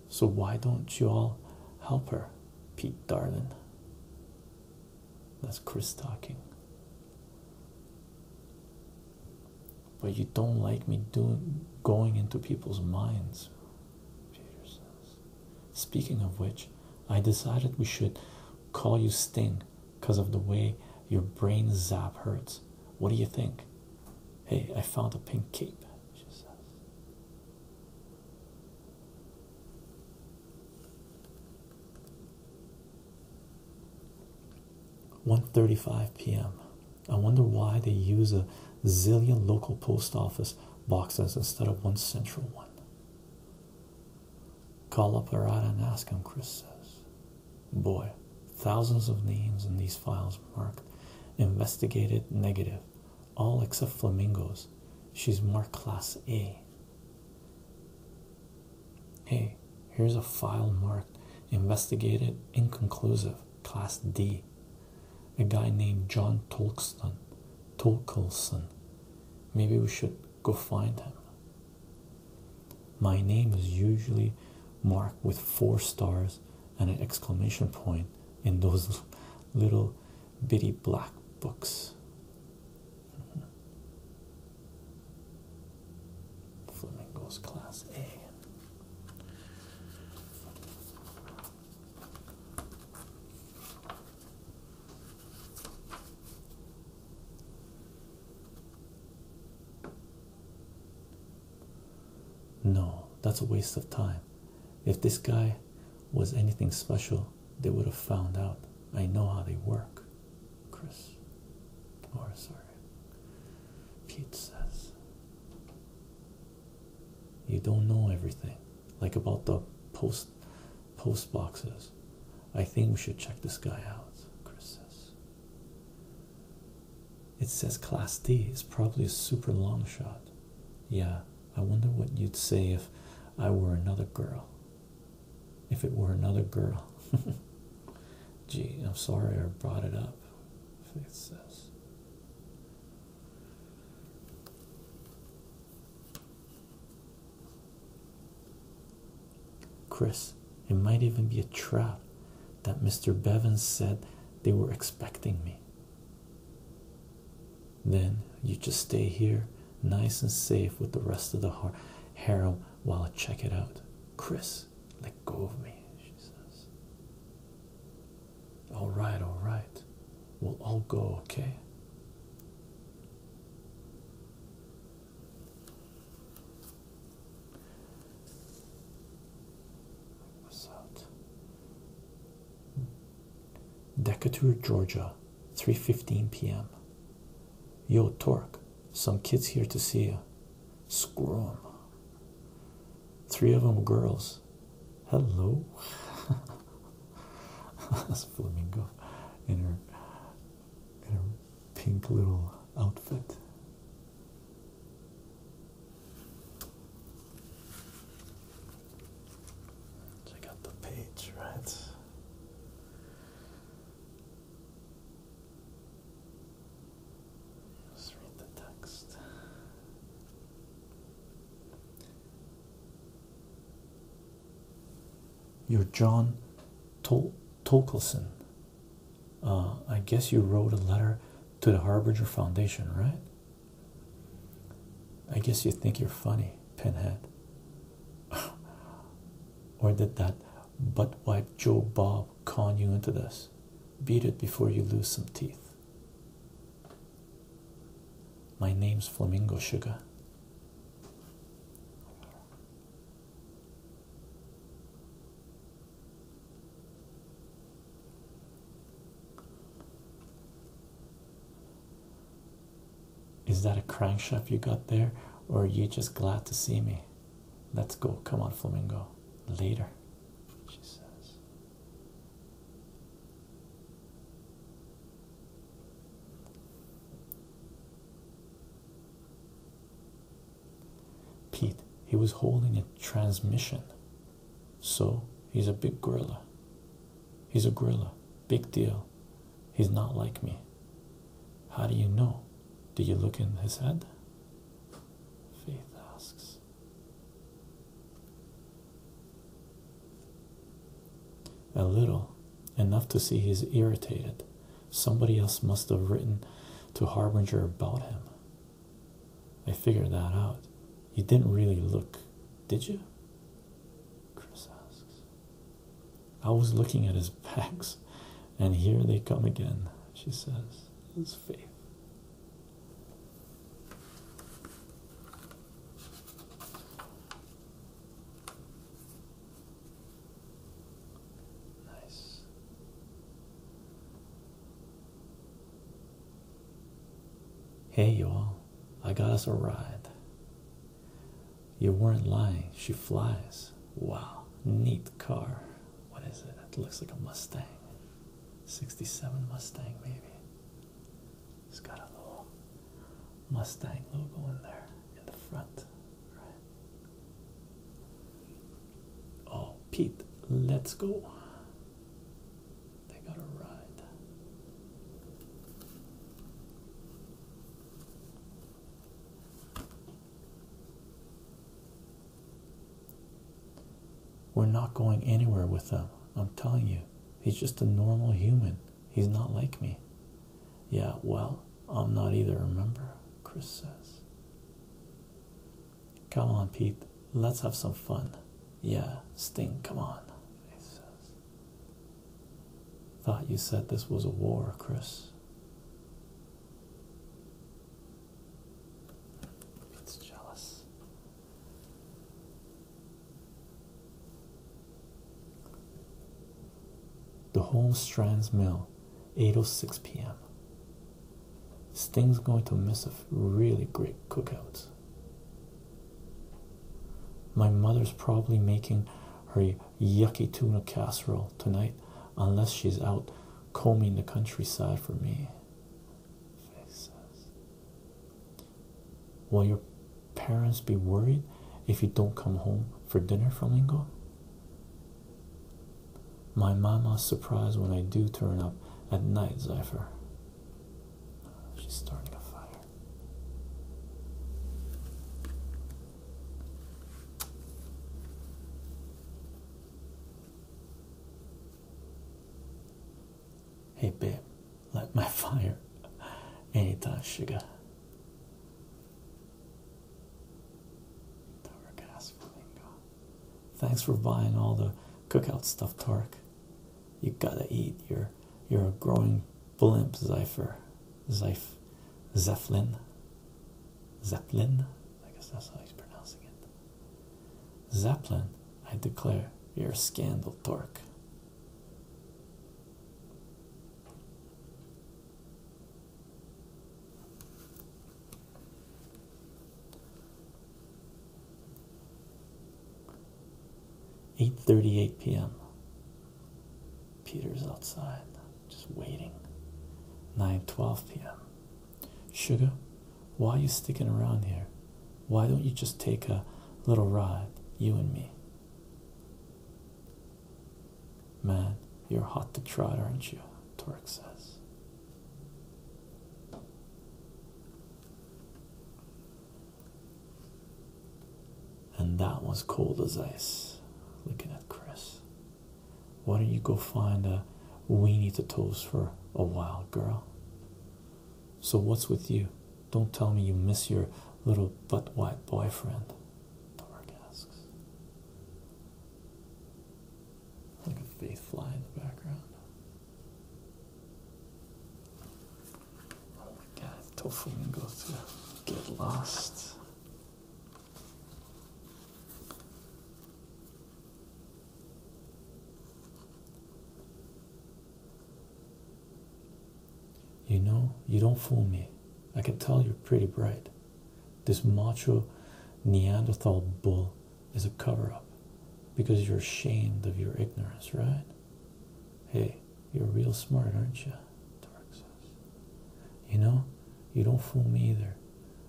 Speaker 1: So why don't you all help her, Pete darling? That's Chris talking. But you don't like me doing going into people's minds, Peter says. Speaking of which, I decided we should call you Sting because of the way your brain zap hurts. What do you think? Hey, I found a pink cape, she One thirty-five p.m. I wonder why they use a zillion local post office boxes instead of one central one. Call up Arata and ask him, Chris says. Boy, thousands of names in these files marked 'investigated negative, all except flamingos. She's marked class A. Hey, here's a file marked 'investigated inconclusive. Class D. A guy named John Tolkson. Tolkelson. Maybe we should go find him. My name is usually marked with four stars and an exclamation point in those little bitty black books. Mm-hmm. Flamingos Class A. No, that's a waste of time. If this guy was anything special, they would have found out. I know how they work. Chris. Or sorry. Pete says. You don't know everything, like about the post post boxes. I think we should check this guy out, Chris says. It says class D is probably a super long shot. Yeah, I wonder what you'd say if I were another girl. If it were another girl. Gee, I'm sorry I brought it up. Faith says. Chris, it might even be a trap that Mr. Bevan said they were expecting me. Then you just stay here, nice and safe with the rest of the har harem while I check it out. Chris, let go of me, she says. All right, all right. We'll all go, okay? What's that? Decatur, Georgia, 3:15 p.m. Yo, Torque, some kids here to see you. Scrum. Three of them girls. Hello. That's Flamingo in her, in her pink little outfit. Check out the page, right? Let's read the text. You're John Tol Tolkelson. Uh, I guess you wrote a letter to the Harbinger Foundation, right? I guess you think you're funny, Pinhead. or did that butt wipe Joe Bob con you into this? Beat it before you lose some teeth. My name's Flamingo Sugar. Is that a crankshaft you got there, or are you just glad to see me? Let's go. Come on, Flamingo. Later, she says. Pete, he was holding a transmission. So he's a big gorilla. He's a gorilla. Big deal. He's not like me. How do you know? Do you look in his head? Faith asks. A little, enough to see he's irritated. Somebody else must have written to Harbinger about him. I figured that out. You didn't really look, did you? Chris asks. I was looking at his packs, and here they come again, she says. His faith. Nice. Hey, you all, I got us a ride. You weren't lying, she flies. Wow, neat car. What is it? It looks like a Mustang. 67 Mustang, maybe. It's got a little Mustang logo in there in the front, right? Oh, Pete, let's go. They got a ride. We're not going anywhere with them. I'm telling you, he's just a normal human. He's not like me. Yeah, well, I'm not either, remember? Chris says. Come on, Pete, let's have some fun. Yeah, Sting, come on, he Thought you said this was a war, Chris. Pete's jealous. The Holmes Strands Mill, 8:06 p.m. This thing's going to miss a really great cookout. My mother's probably making her yucky tuna casserole tonight, unless she's out combing the countryside for me. Faith Will your parents be worried if you don't come home for dinner from Lingo? My mama's surprised when I do turn up at night, Zephyr. She's starting a fire. Hey babe, light my fire. Anytime, sugar. Thanks for buying all the cookout stuff, Tark. You gotta eat. You're a growing blimp, Zypher. Zyf Zeppelin. Zeppelin? I guess that's how he's pronouncing it. Zeppelin, I declare, you're a scandal, Torque. Eight thirty eight PM. Peter's outside, just waiting. Nine twelve PM. Sugar, why are you sticking around here? Why don't you just take a little ride, you and me? Man, you're hot to trot, aren't you? Torque says. And that was cold as ice. Looking at Chris. Why don't you go find a weenie to toast for a wild girl? So, what's with you? Don't tell me you miss your little butt white boyfriend. Dark asks. Like a faith fly in the background. Oh my god, tofu can go through. Get lost. You know, you don't fool me. I can tell you're pretty bright. This macho Neanderthal bull is a cover up because you're ashamed of your ignorance, right? Hey, you're real smart, aren't you? Tark You know, you don't fool me either.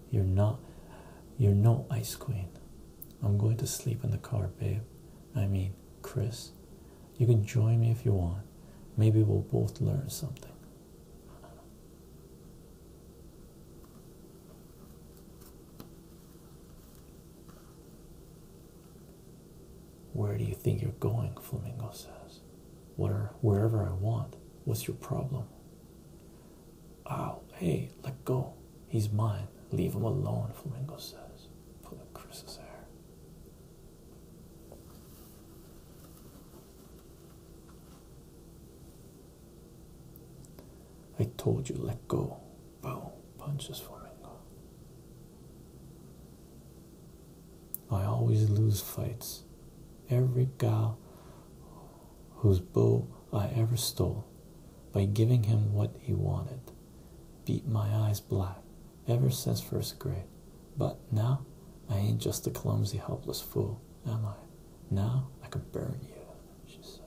Speaker 1: You're not, you're no ice queen. I'm going to sleep in the car, babe. I mean, Chris. You can join me if you want. Maybe we'll both learn something. Where do you think you're going? Flamingo says. wherever I want. What's your problem? Ow, ah, hey, let go. He's mine. Leave him alone, Flamingo says. Pull Chris's hair. I told you, let go. Boom. Punches Flamingo. I always lose fights. Every guy whose bow I ever stole by giving him what he wanted beat my eyes black ever since first grade. But now I ain't just a clumsy, helpless fool, am I? Now I can burn you, she says.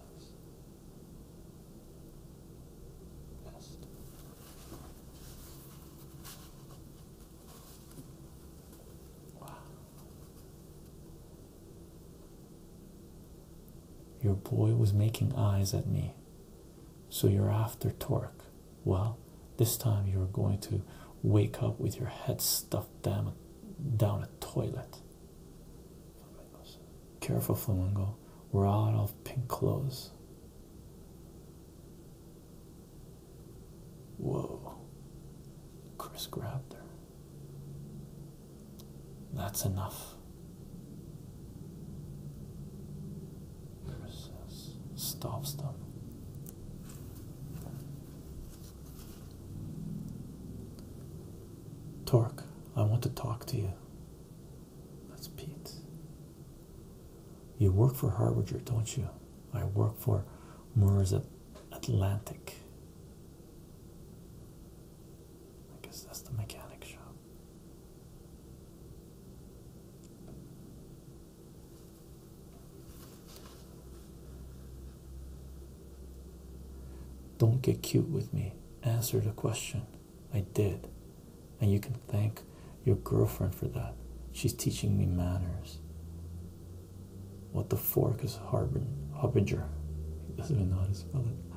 Speaker 1: Your boy was making eyes at me so you're after torque. Well, this time you're going to wake up with your head stuffed down, a toilet. Careful, Flamingo. We're out of pink clothes. Whoa. Chris grabbed her. That's enough persists, stops them. Torque, I want to talk to you. That's Pete. You work for Harbinger, don't you? I work for Moore's Atlantic. I guess that's the mechanic shop. Don't get cute with me. Answer the question. I did. And you can thank your girlfriend for that. She's teaching me manners. What the fork is Harbinger? He doesn't even know how to spell it.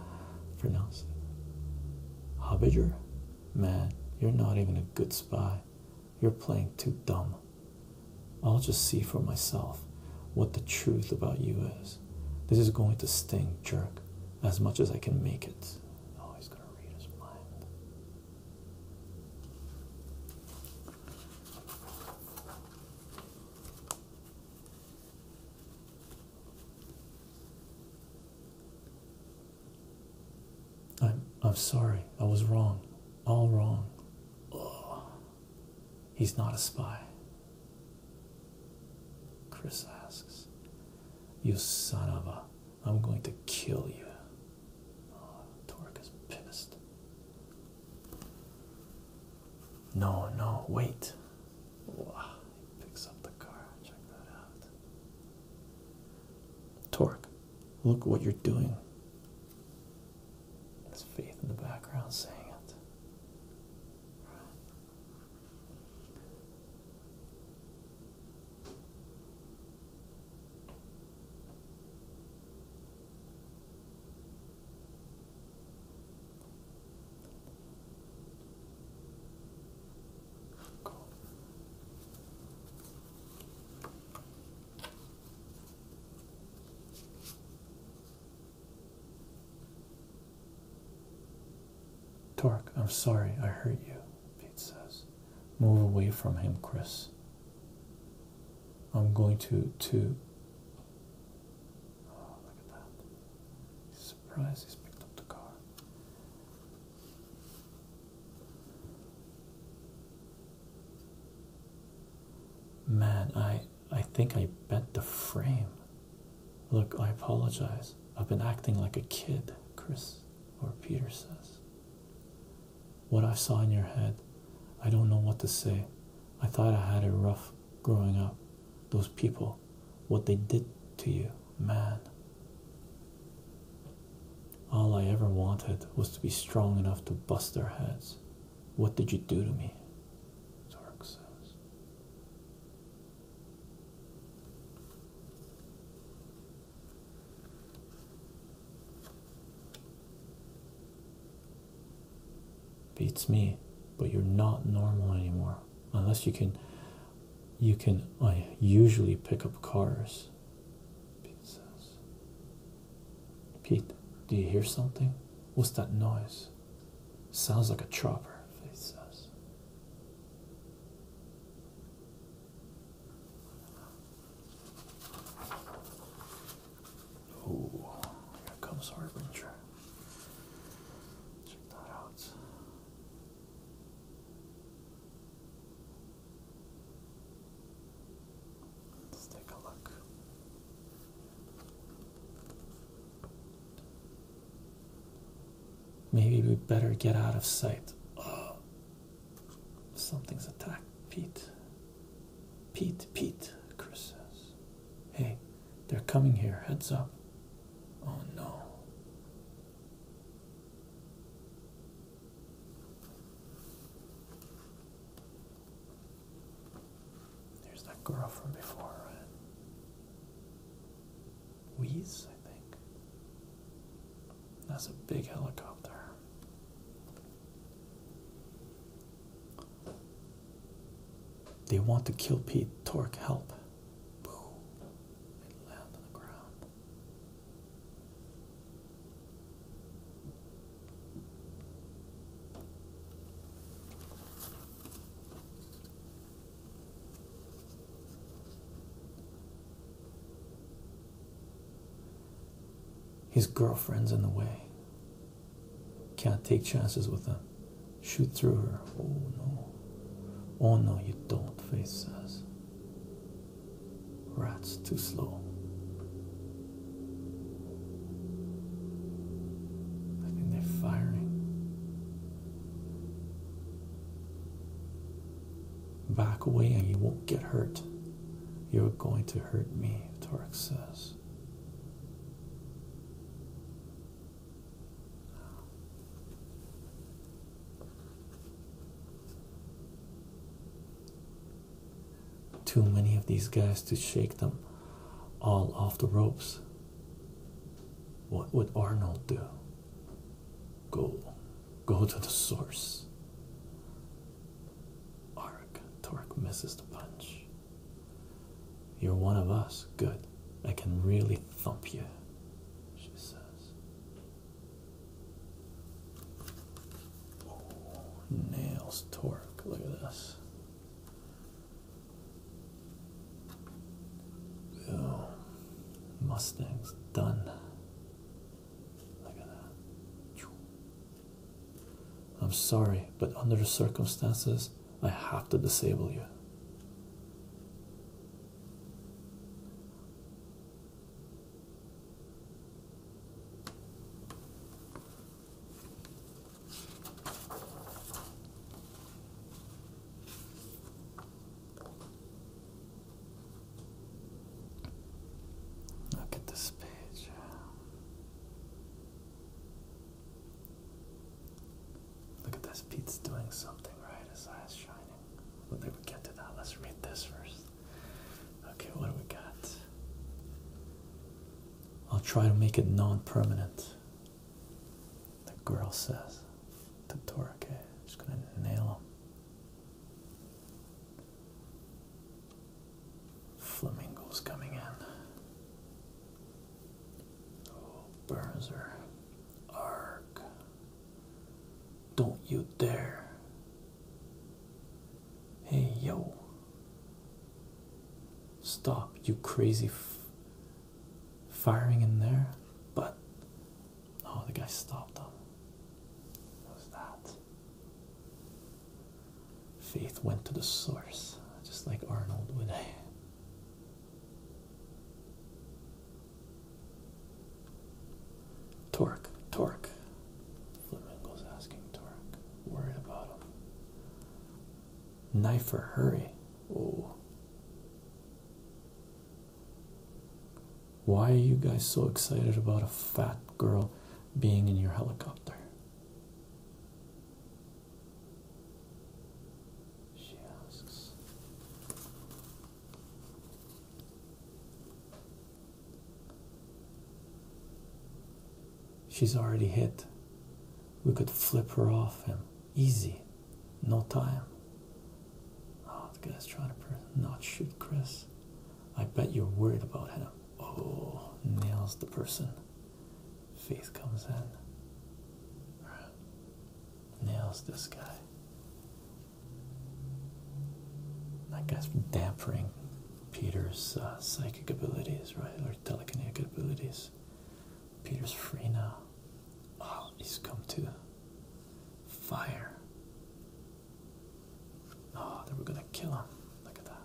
Speaker 1: For now, Hobiger? Man, you're not even a good spy. You're playing too dumb. I'll just see for myself what the truth about you is. This is going to sting, jerk, as much as I can make it. Oh, he's going to read his mind. I'm I'm sorry. I was wrong. All wrong. He's not a spy. Chris asks, "You son of a! I'm going to kill you." Oh, Torik is pissed. No, no, wait. Wow, picks up the car. Check that out. Torque, look what you're doing. There's Faith in the background saying it. Torque, I'm sorry I hurt you, Pete says. Move away from him, Chris. I'm going to to oh, look at that. He's he's picked up the car. Man, I I think I bent the frame. Look, I apologize. I've been acting like a kid, Chris or Peter says. What I saw in your head, I don't know what to say. I thought I had it rough growing up. Those people, what they did to you, man. All I ever wanted was to be strong enough to bust their heads. What did you do to me? Torque says. Beats me, but you're not normal anymore. Unless you can you can I usually pick up cars. Pete says. Pete, do you hear something? What's that noise? Sounds like a chopper, Faith says. Oh, here comes Harbinger. Check that out. Let's take a look. Maybe we better get out of sight. Oh, something's attacked Pete. Pete, Pete, Chris says. Hey, they're coming here. Heads up. Oh no. There's that girl from before, right? Wheeze, I think. That's a big helicopter. They want to kill Pete. Torque, help. Boom. It lands on the ground. His girlfriend's in the way. Can't take chances with him. Shoot through her. Oh no. Oh no, you don't, Face says. Rats, too slow. I think they're firing. Back away and you won't get hurt. You're going to hurt me, Torque says. Too many of these guys to shake them all off the ropes. What would Arnold do? Go, go to the source. Arc, Torque misses the punch. You're one of us. Good. I can really thump you, she said. Oh, nails torque. Look at this. Boom. Mustang's done. I'm sorry, but under the circumstances, I have to disable you. Look at this page. Look at this. Pete's doing something, right? His eyes shining. Well, they would get to that. Let's read this first. Okay, what do we got? I'll try to make it non permanent. The girl says to Torake, just gonna nail him. Flamingos coming in. Oh, Burns are don't you dare. Hey, yo. Stop, you crazy f firing in there. But, oh, the guy stopped him. was that? Faith went to the source, just like Arnold would. Torque, Torque. Flamingo's asking Torque. Worried about him. Knifer, hurry. Oh. Why are you guys so excited about a fat girl being in your helicopter? She asks. She's already hit. We could flip her off him. Easy. No time. Oh, the guy's trying to not shoot Chris. I bet you're worried about him. Oh, nails the person. Faith comes in. Nails this guy. That guy's dampering Peter's uh, psychic abilities, right? Or telekinetic abilities. Peter's free now. Oh, he's come to fire. Oh, they are gonna kill him. Look at that.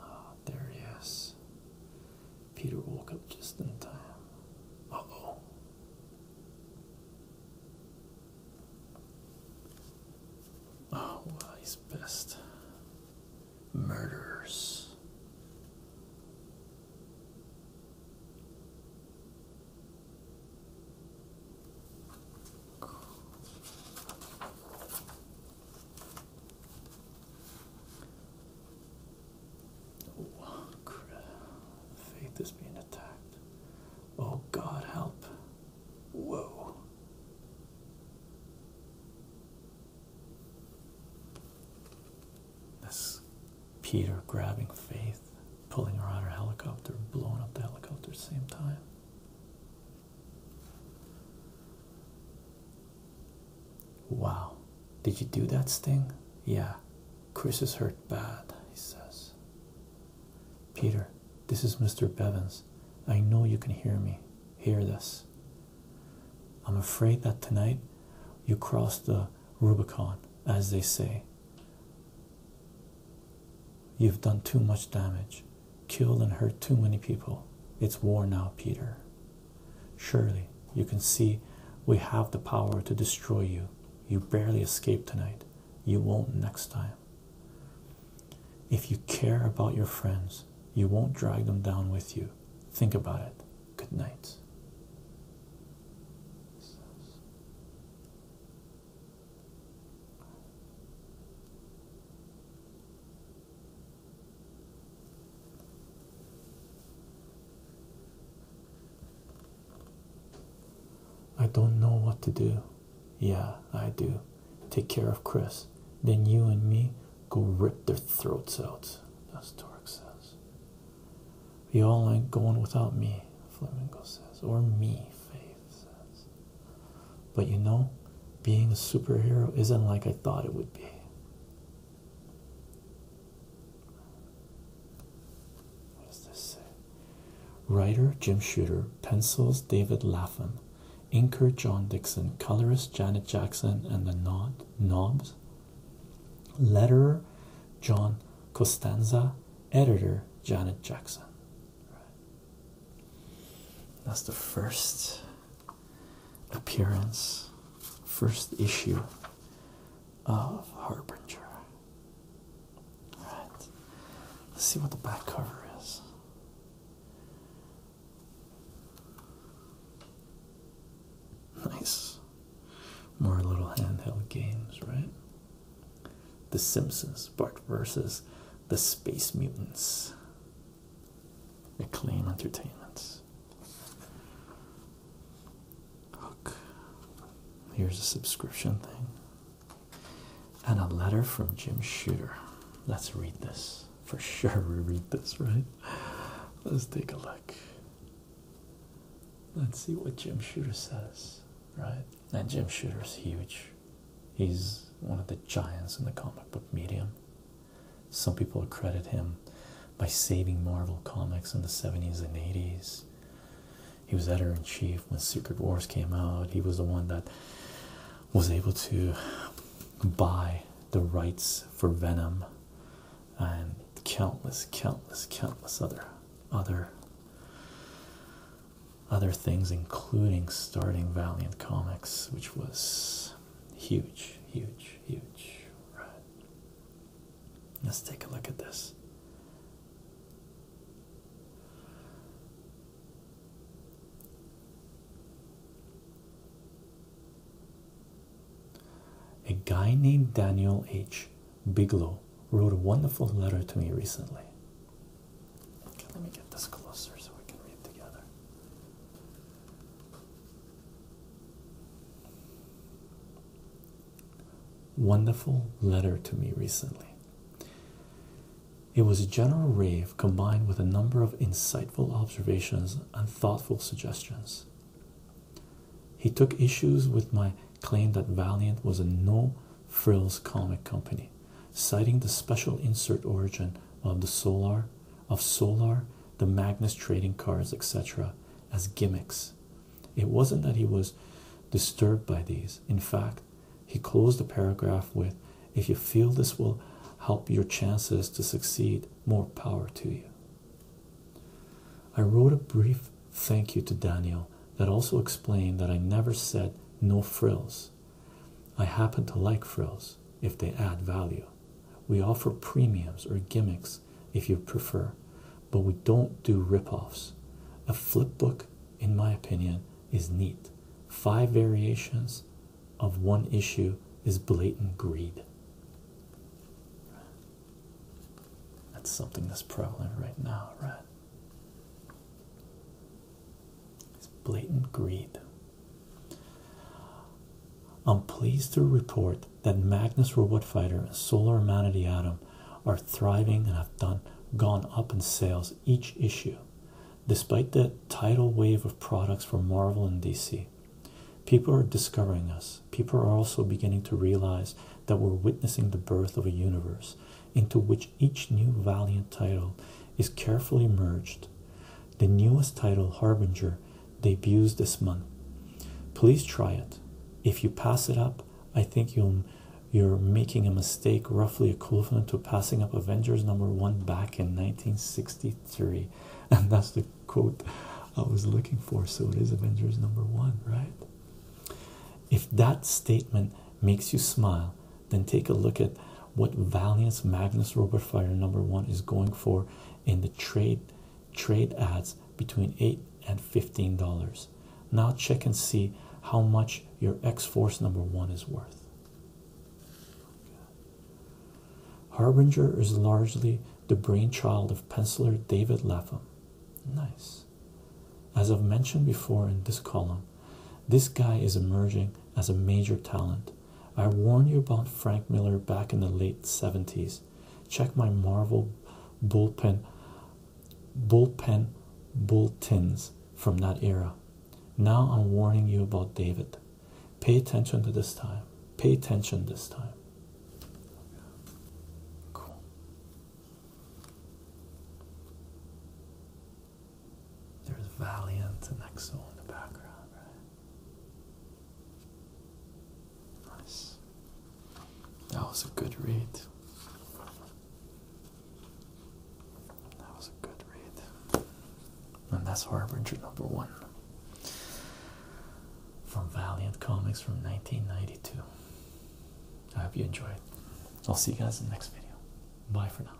Speaker 1: Ah, there he Peter woke up just in time. Uh oh. Oh, well, he's pissed. Murderers. Oh, crap. Faith is being attacked. Oh, God, help. Whoa. This Peter grabbing Faith, pulling her out of her helicopter, blowing up the helicopter at the same time. Wow, did you do that sting? Yeah, Chris is hurt bad, he says. Peter, this is Mr. Bevins. I know you can hear me. Hear this. I'm afraid that tonight you crossed the Rubicon, as they say. You've done too much damage killed and hurt too many people. It's war now, Peter. Surely you can see we have the power to destroy you. You barely escaped tonight. You won't next time. If you care about your friends, you won't drag them down with you. Think about it. Good night. I don't know what to do. Yeah, I do. Take care of Chris. Then you and me go rip their throats out. That's Torque says. Y'all ain't going without me, Flamingo says. Or me, Faith says. But you know, being a superhero isn't like I thought it would be. What does this say? Writer Jim Shooter, pencils David Laffan, inker John Dixon, colorist Janet Jackson, and the Nod Knobs. Letterer John Costanza, editor Janet Jackson. That's the first appearance, first issue of Harbinger. Alright, let's see what the back cover is. Nice. More little handheld games, right? The Simpsons, Bart versus the Space Mutants. Acclaim Entertainments. Hook. Here's a subscription thing. And a letter from Jim Shooter. Let's read this. For sure, we read this, right? Let's take a look. Let's see what Jim Shooter says, right? And Jim Shooter's huge. He's one of the giants in the comic book medium. Some people credit him by saving Marvel comics in the 70s and 80s. He was editor in chief when Secret Wars came out. He was the one that was able to buy the rights for Venom and countless, countless, countless other other other things including starting Valiant Comics, which was Huge, huge, huge. Right. Let's take a look at this. A guy named Daniel H. Bigelow wrote a wonderful letter to me recently. Okay, let me get this closer so we can read together. Wonderful letter to me recently. It was a general rave combined with a number of insightful observations and thoughtful suggestions. He took issues with my claim that Valiant was a no frills comic company, citing the special insert origin of the Solar of Solar, the Magnus trading cards, etc., as gimmicks. It wasn't that he was disturbed by these. In fact, he closed the paragraph with, If you feel this will help your chances to succeed, more power to you. I wrote a brief thank you to Daniel that also explained that I never said no frills. I happen to like frills if they add value. We offer premiums or gimmicks if you prefer, but we don't do rip offs A flip book, in my opinion, is neat. Five variations of one issue is blatant greed. That's something that's prevalent right now, right? It's blatant greed. I'm pleased to report that Magnus Robot Fighter and Solar Man of the Atom are thriving and have done gone up in sales each issue, despite the tidal wave of products from Marvel and DC. People are discovering us. People are also beginning to realize that we're witnessing the birth of a universe into which each new Valiant title is carefully merged the newest title Harbinger debuts this month. Please try it. If you pass it up, I think you are making a mistake roughly equivalent to passing up Avengers number one back in 1963. And that's the quote I was looking for. So it is Avengers number one, right? If that statement makes you smile, then take a look at what Valiance Magnus Robert Fire number one is going for in the trade trade ads between eight and fifteen dollars. Now check and see how much your X Force number one is worth. Harbinger is largely the brainchild of penciler David Lapham. Nice. As I've mentioned before in this column, this guy is emerging as a major talent. I warned you about Frank Miller back in the late 70s. Check my Marvel bullpen bullpen bulletins from that era. Now I'm warning you about David. Pay attention to this time. Pay attention this time. Cool. There's Valiant and Exo in the background, right? Nice. That was a good read. That was a good read. And that's Harbinger number one from Valiant Comics from 1992. I hope you enjoyed. I'll see you guys in the next video. Bye for now.